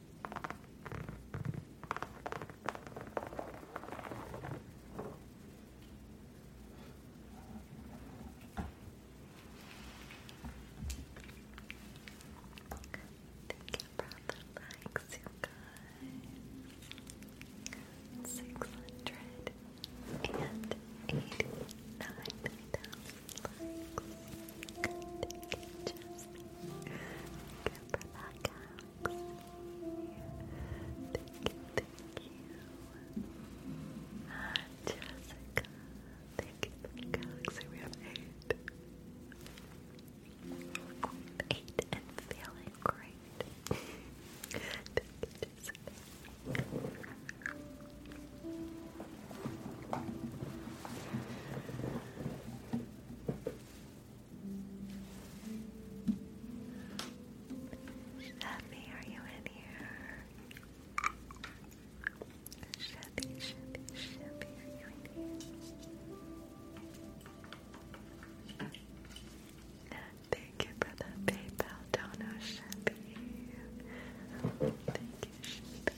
likes, you guys. Six hundred and eighty-nine thousand likes. Good, just again Thank you, Jessica. Thank you galaxy. We have eight. Eight and feeling great. thank you, Jessica. Shelby, are you in here? Shelby, Shelby, Shelby, are you in here? thank you for the PayPal donor, Shelby. Thank you, Shelby.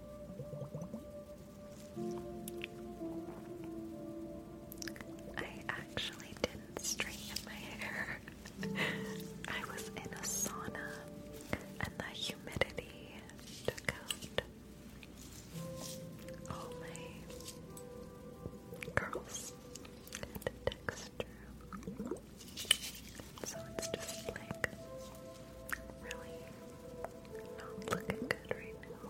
I actually didn't straighten my hair. I was in a sauna and the humidity took out all my curls and texture. So it's just like really not looking good right now.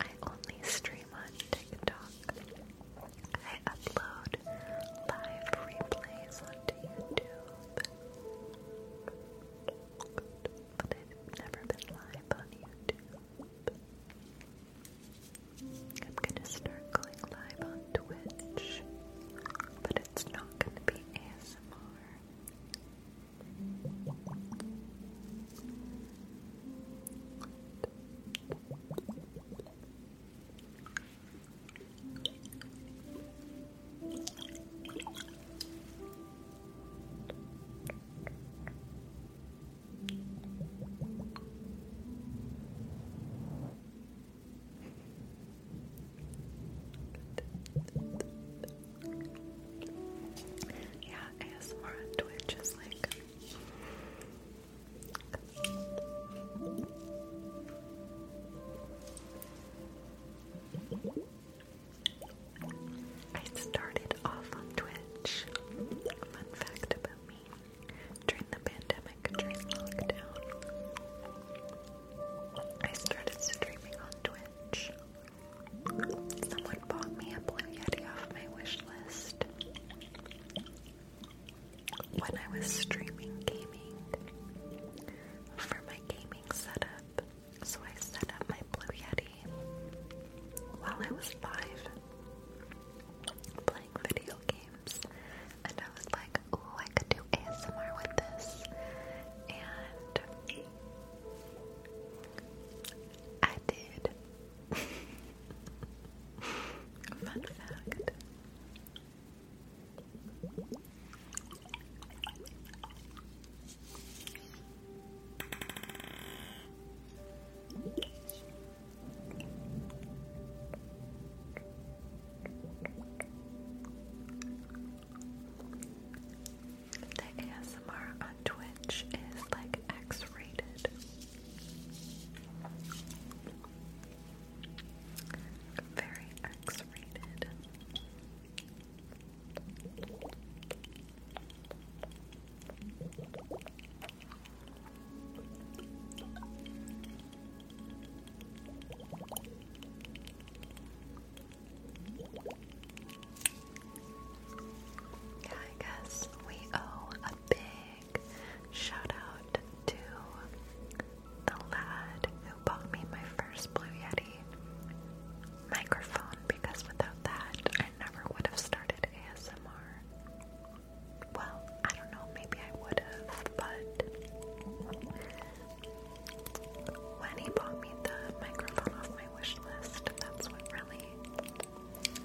I only stream on TikTok. I upload live replays onto YouTube. But I've never been live on YouTube. I'm gonna start going live on Twitch but it's not going to be ASMR. Yeah, ASMR on Twitch is like I started off on Twitch. Fun fact about me. During the pandemic, I started streaming on Twitch. Someone bought me a Blue Yeti off my wish list. When I was streaming gaming for my gaming setup, so I set up my Blue Yeti while I was live playing video games, and I was like, like, I could do ASMR with this. And I did. Fun fact. The ASMR on Twitch is like X rated. Very X rated. I guess we owe a big shout out to the lad who bought me my first Blue Yeti microphone because without that, I never would have started ASMR. Well, I don't know, maybe I would have, but when he bought me the microphone off my wish list, that's what really.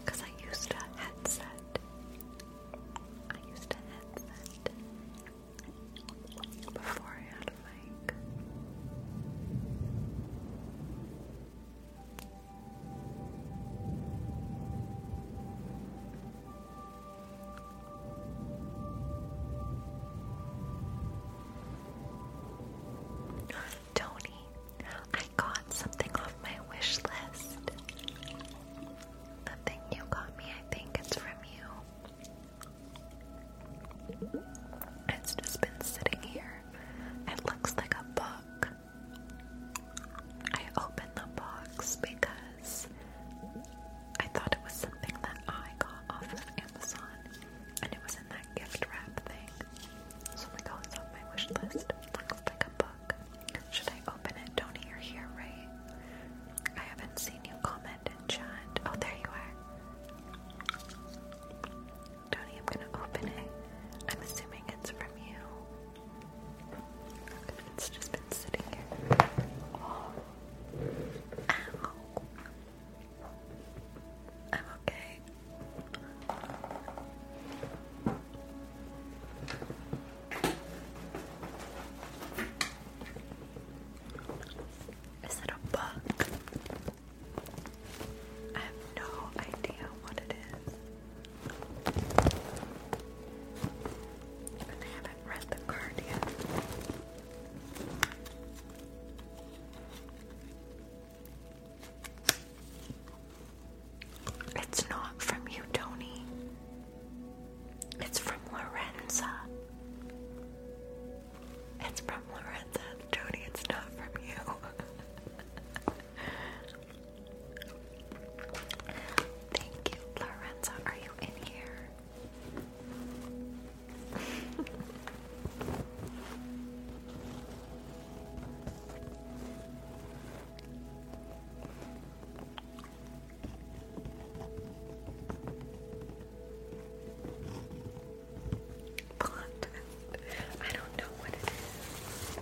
Because I used a headset. I used a headset before I had a mic. Tony, I got something off my wish list. The thing you got me, I think it's from you. It's just been sitting here. It looks like a book. I opened the box because I thought it was something that I got off of Amazon, and it was in that gift wrap thing. So we go, it's on my wish list. looks like a book. Should I open it? Tony, you're here, right? I haven't seen you comment and chat. Oh, there you are. Tony, I'm gonna open it. I'm assuming it's from you. It's just been sitting here oh. I'm okay. Is it a bug? I have no idea what it is. And I haven't read the card yet. It's not from you, Tony. It's from Lorenza. It's from Lorenza, Tony. It's not from you. Thank you, Lorenza. Are you in here? Blonde. I don't know what it is.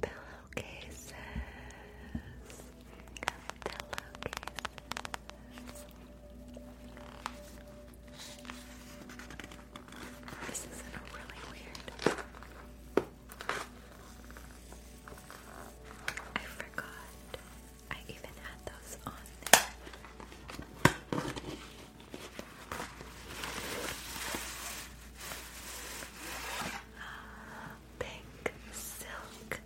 Pillowcases, pillowcases. This is really weird. I forgot I even had those on there. Uh, pink silk.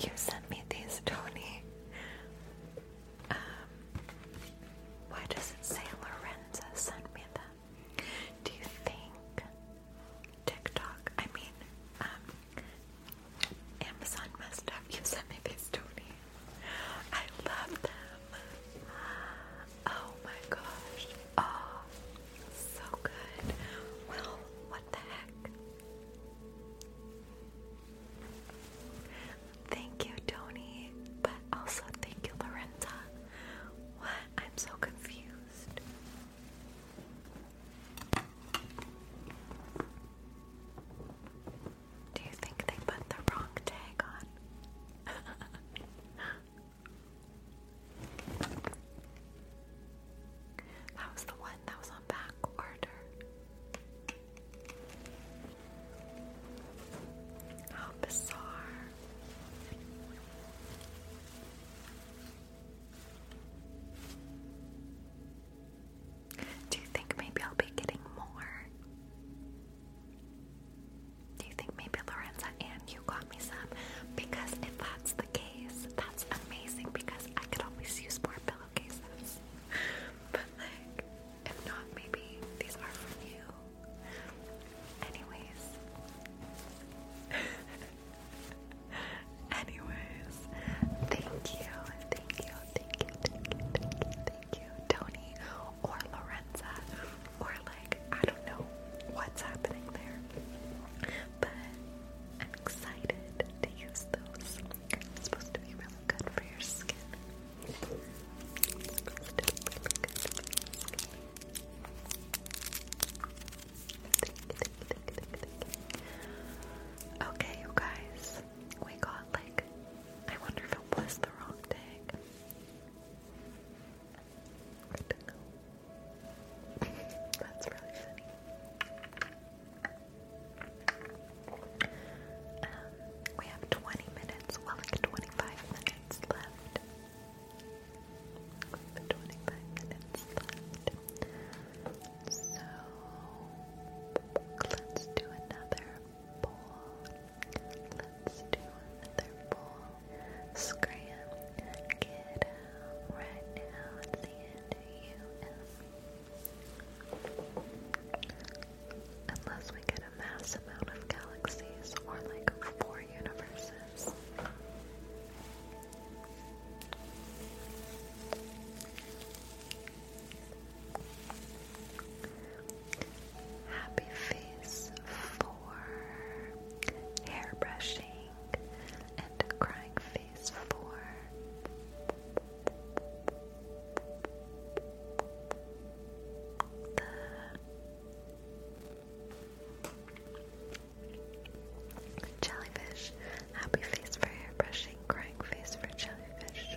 You sent me these, Tony. Um, why does it say Lorenza sent me them? Do you think TikTok? I mean, um, Amazon must have Yosemite Stony. I love them. Oh my gosh. Oh, so good. Well, what the heck? Thank you, Tony, but also thank you, Lorenza. What? I'm so confused. Do you think they put the wrong tag on? that was the one that was on back order. How bizarre. Do you think maybe I'll be getting more? Do you think maybe Lorenza and you got me some? Because if that's the case, that's amazing because I could always use more pillowcases. but like, if not, maybe these are from you. Anyways. Anyways, thank you, thank you, thank you, thank you, thank you, Tony or Lorenza, or like, I don't know what's happening there, but I'm excited to use those. supposed to be really good for your skin. Okay, you guys we got like, I wonder if it was the wrong tag. That's really funny. Um, we have 20 minutes, well like 25 minutes left. 25 minutes left. So let's do another bowl. Let's do another bowl. Scram, get out right now. It's the end of you. Unless we get a mass amount of galaxies or like four universes. Happy face for hair brushing and crying face for the jellyfish. Happy face for hair brushing, crying face for jellyfish.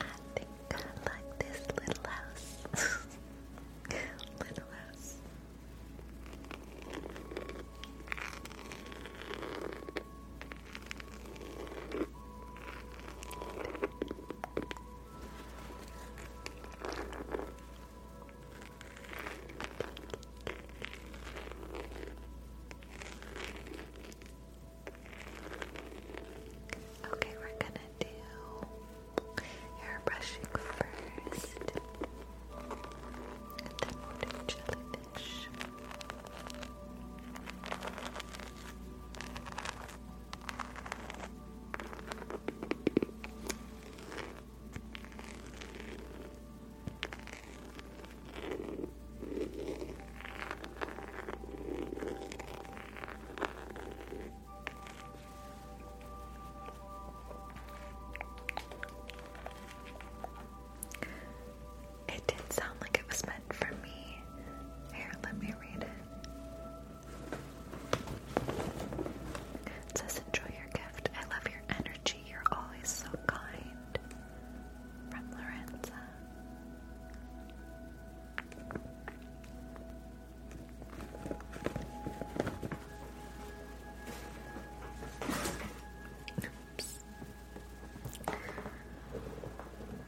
I think I like this little house. little house. Okay, we're gonna do hair brushing first, and then we'll do jellyfish. It did sound like it was meant for me. Here, let me read it. says, Enjoy your gift. I love your energy. You're always so kind. From Lorenza.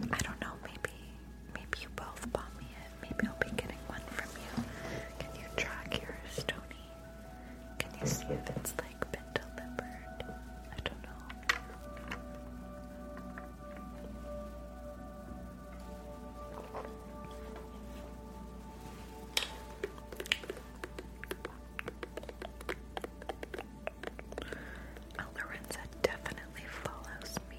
I don't know, maybe maybe you both bought me it. Maybe I'll be getting one from you. Can you track yours, Tony? Can you see if it's like been delivered? I don't know. Lorenza definitely follows me.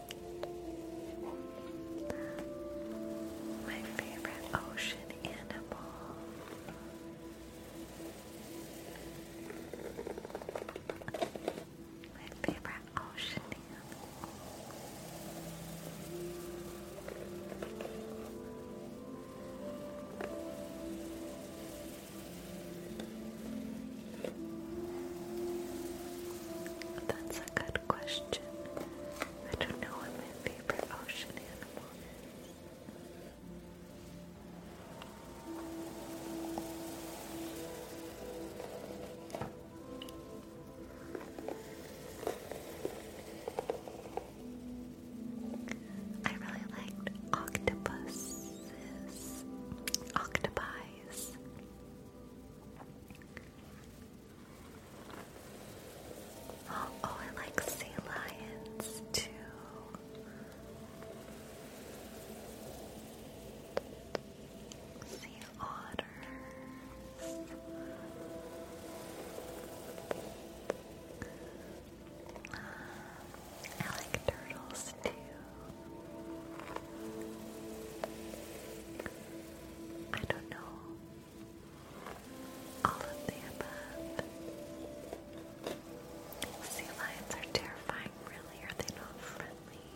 My favorite ocean animal. My favorite ocean animal. That's a good question. I don't know my favorite ocean animal I really liked octopuses, octopies. Oh, I like sea lions too. Sea otters. I like turtles too. I don't know. All of the above. Sea lions are terrifying, really. Are they not friendly?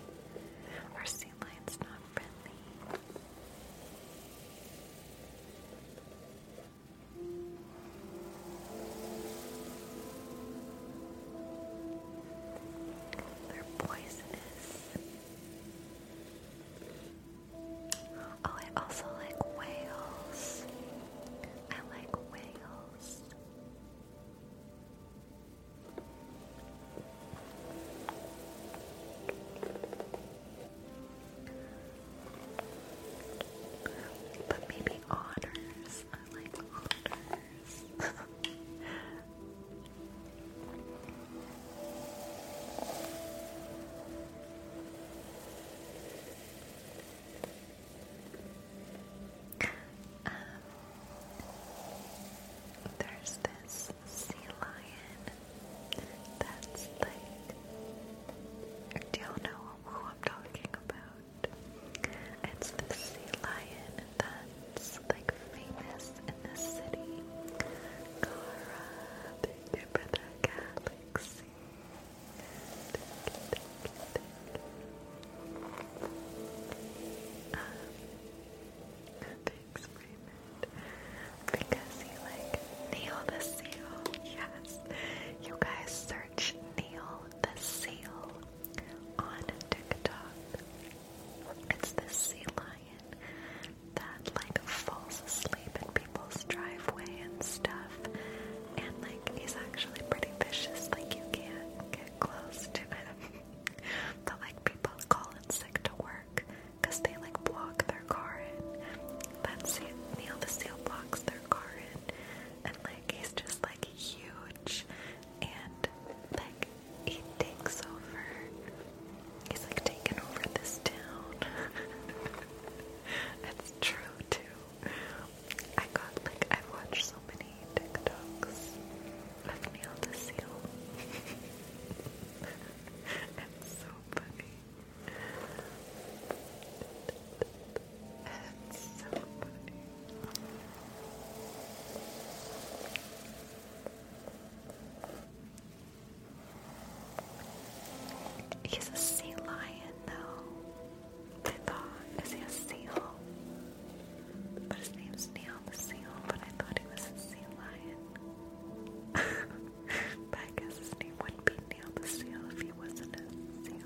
Are sea lions not friendly? They're poisonous. Oh, I also like whales. I like whales. But maybe otters. I like otters. Um, there's this sea lion that's like, do y'all know who I'm talking about? It's the sea lion that it's like famous in this city. Cara, thank you the galaxy. Thank you, thank Because he like Neil the Seal. Yes. You guys search Neil the Seal on TikTok. It's the sea lion lion that like falls asleep in people's driveway and stuff. And like he's actually pretty vicious, like you can't get close to him. but like people call in sick to work because they like block their car in. That's it. Neil the Seal blocks their car in. And like he's just like huge and like he takes over. He's like taking over this town. That's true too. I got like I've watched so many TikToks of Neil the Seal. That's so funny. That's so funny. He's a sea lion, though. I thought, is he a seal? But his name's Neil the Seal, but I thought he was a sea lion. but I guess his name wouldn't be Neil the Seal if he wasn't a seal.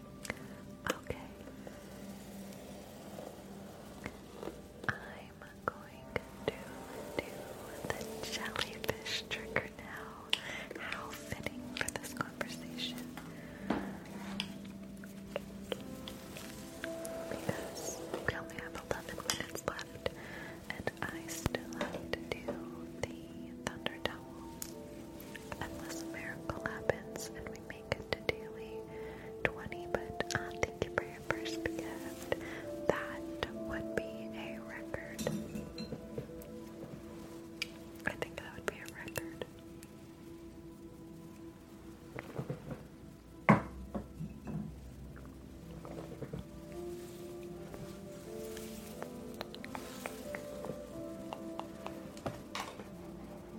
Okay. I'm going to do the jellyfish trigger now. How fitting for this conversation. Because we only have 11 minutes left, and I still have to do the Thunder Unless a miracle happens make it to daily 20, but uh, thank you for your first gift. That would be a record. I think that would be a record. Cakes.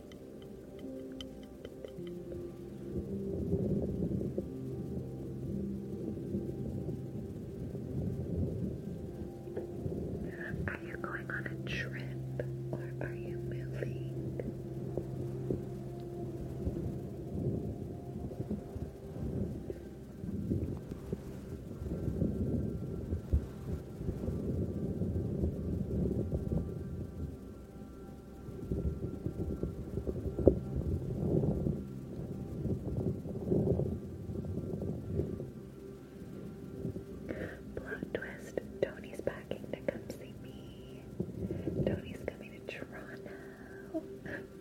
Are you going on a trip or are you moving? Are Plot twist Tony's packing to come see me. Tony's coming to Toronto.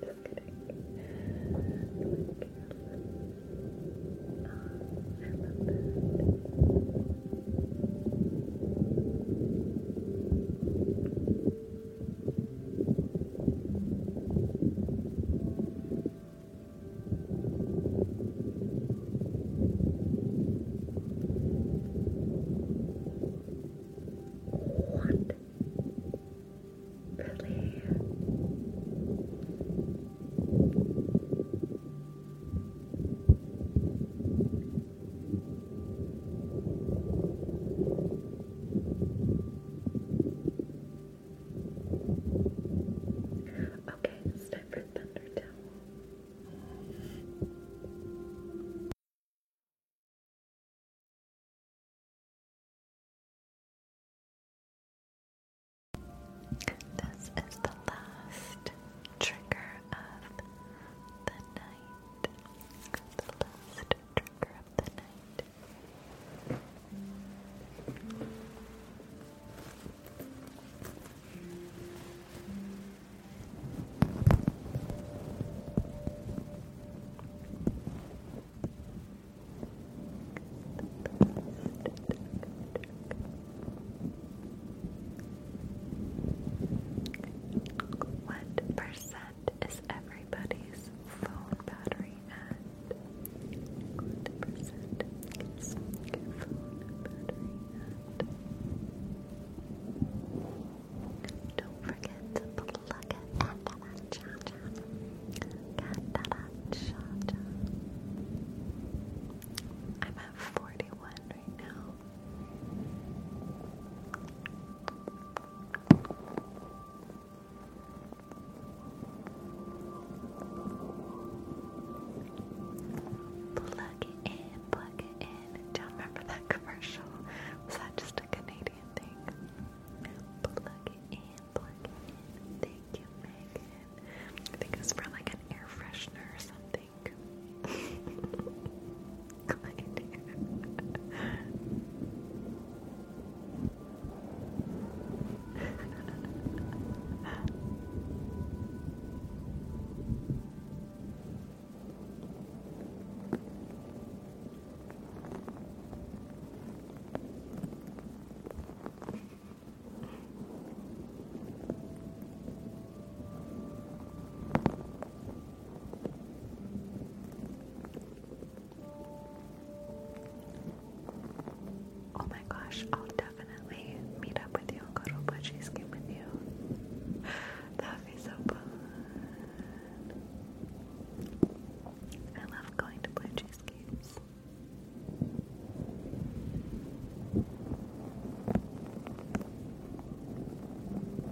Just kidding. What? Really? Okay, it's time for Thunder Towel. This is the last trigger of the night. The last trigger of the night. What percent is everybody's phone battery at? What percent is your phone battery at? Don't forget to plug it into that charger. I'm at 41 Plug it in, plug it in. Do you remember that commercial? Was that just a Canadian thing? Plug it in, plug it in. Thank you, Megan. I think it's was for like an air freshener or something like. I do. Oh my gosh, I'll definitely meet up with you and go to a blood cheesecake with you. that would be so fun. I love going to blood cheesecakes.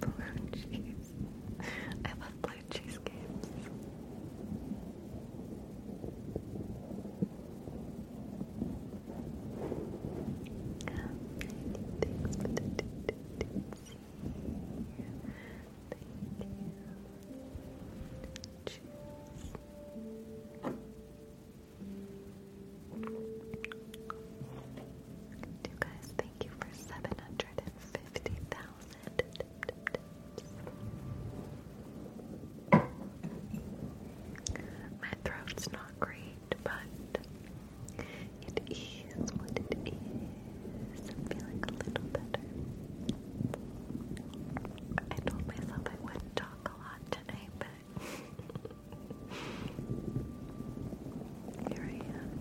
Blue cheese. I love blue cheese games. Cheers. You guys, thank you for 750,000 My throat's not great, but it is what it is. I'm feeling a little better. I told myself I wouldn't talk a lot tonight, but here I am.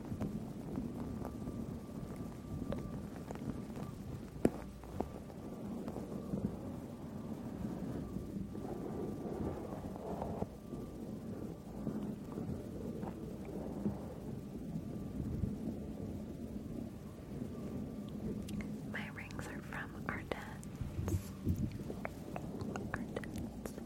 My rings are from Ardennes. Ardennes.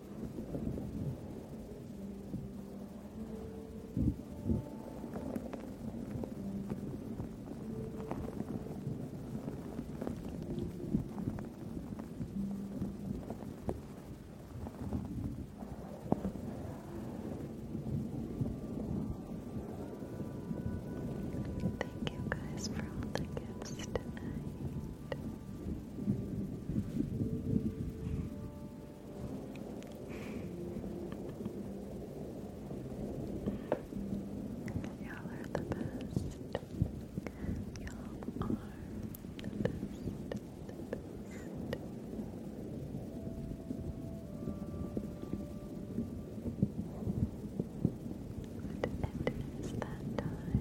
Thank you guys for all the gifts tonight. Y'all are the best. Y'all are the best. it is that time.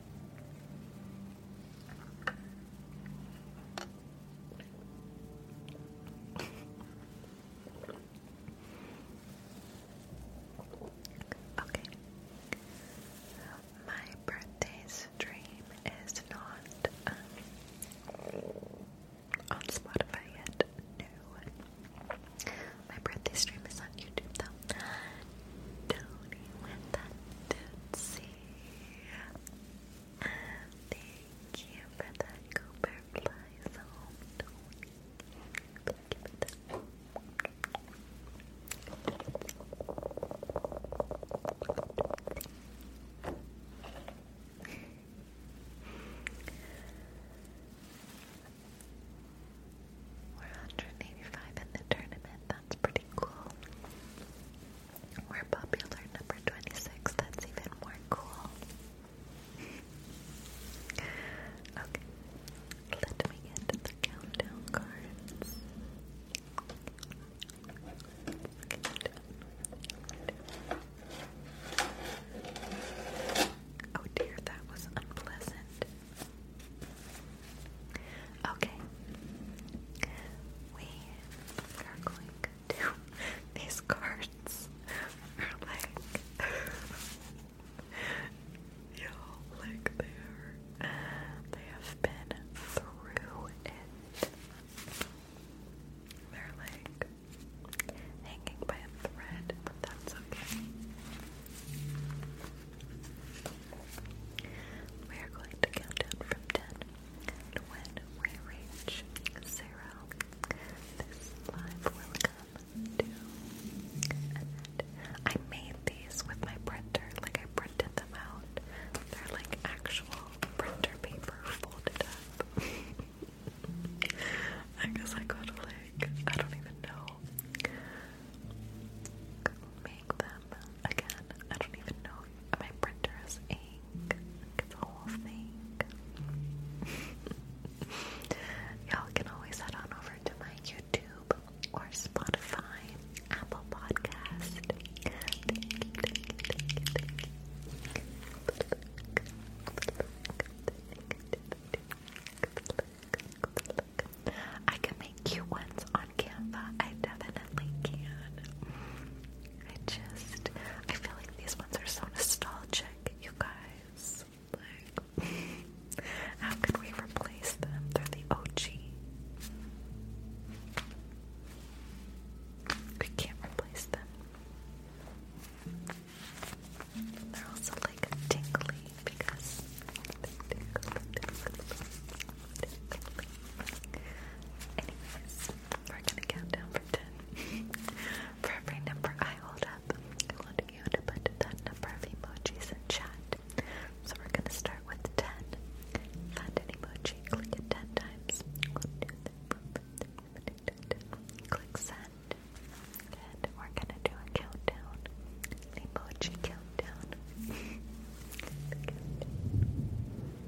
Okay. My birthday's stream is not um, on Spotify yet. No. My birthday stream is on YouTube though. Tony with that dude thank you for that Cooper fly zone. We're 185 in the tournament. That's pretty cool. We're popular number 26, that's even more cool. okay, let me get the countdown cards. Oh dear, that was unpleasant. Okay. We are going to these cards are like you know, like they are they have been through it. They're like hanging by a thread, but that's okay. We are going to count down from ten. And when we reach zero, this live will come to an end. I made these with my printer, like I printed them out. They're like actual printer paper folded up. I guess I gotta like, I don't even know. Make them again. I don't even know. My printer ink. It's whole thing. Y'all can always head on over to my YouTube or Spotify, Apple Podcast. Thank you, I can make cute ones on Canva. I definitely can. I just, I feel like these ones are so nostalgic, you guys. Like, how could we replace them? They're the OG. We can't replace them. They're also like tingly because Anyways, we're gonna count down ten. For every number I hold up, I want you to put that number of emojis in chat. So we're gonna start with ten. Find emoji, click it ten times. click send. And we're gonna do a countdown. Emoji countdown.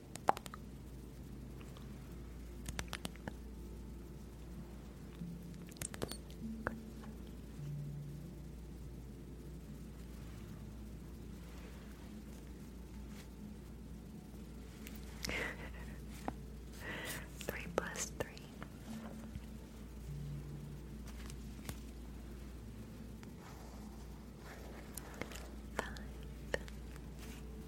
three plus three. Five.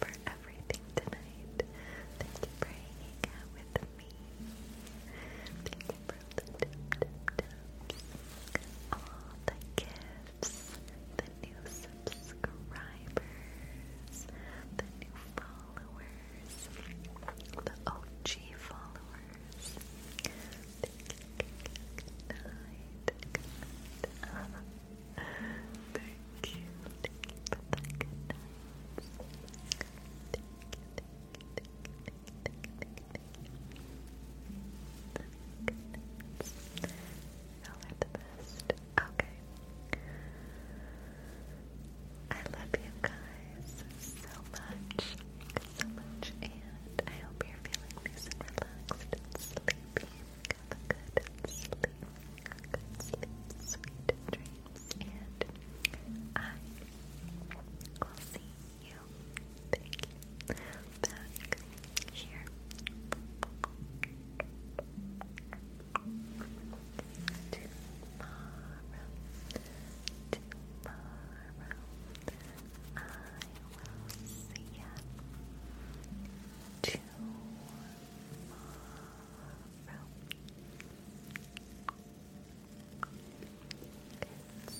for everything tonight. Thank you for hanging out with me. Thank you for the tips All the gifts, the new subscribers, the new followers, the OG followers. Thank you, good Thank you. Okay. I love you guys so much, so much, and I hope you're feeling nice relaxed and sleepy have a good sleep. Good sleep, sweet dreams, and I will see you. Thank you. Tomorrow. Tomorrow. I will see ya. It's only a day away. It's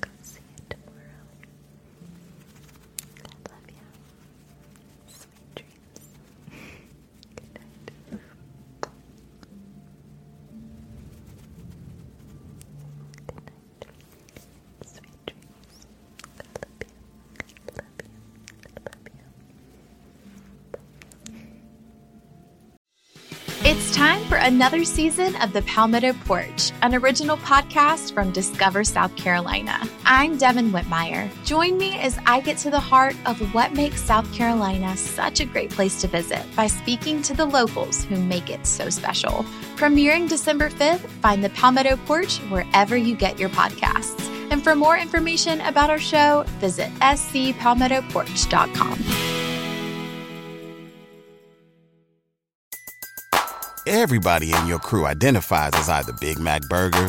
Go see you tomorrow. I love you. Sweet it's time for another season of The Palmetto Porch, an original podcast from Discover South Carolina. I'm Devin Whitmire. Join me as I get to the heart of what makes South Carolina such a great place to visit by speaking to the locals who make it so special. Premiering December 5th, find the Palmetto Porch wherever you get your podcasts. And for more information about our show, visit scpalmettoporch.com. Everybody in your crew identifies as either Big Mac Burger,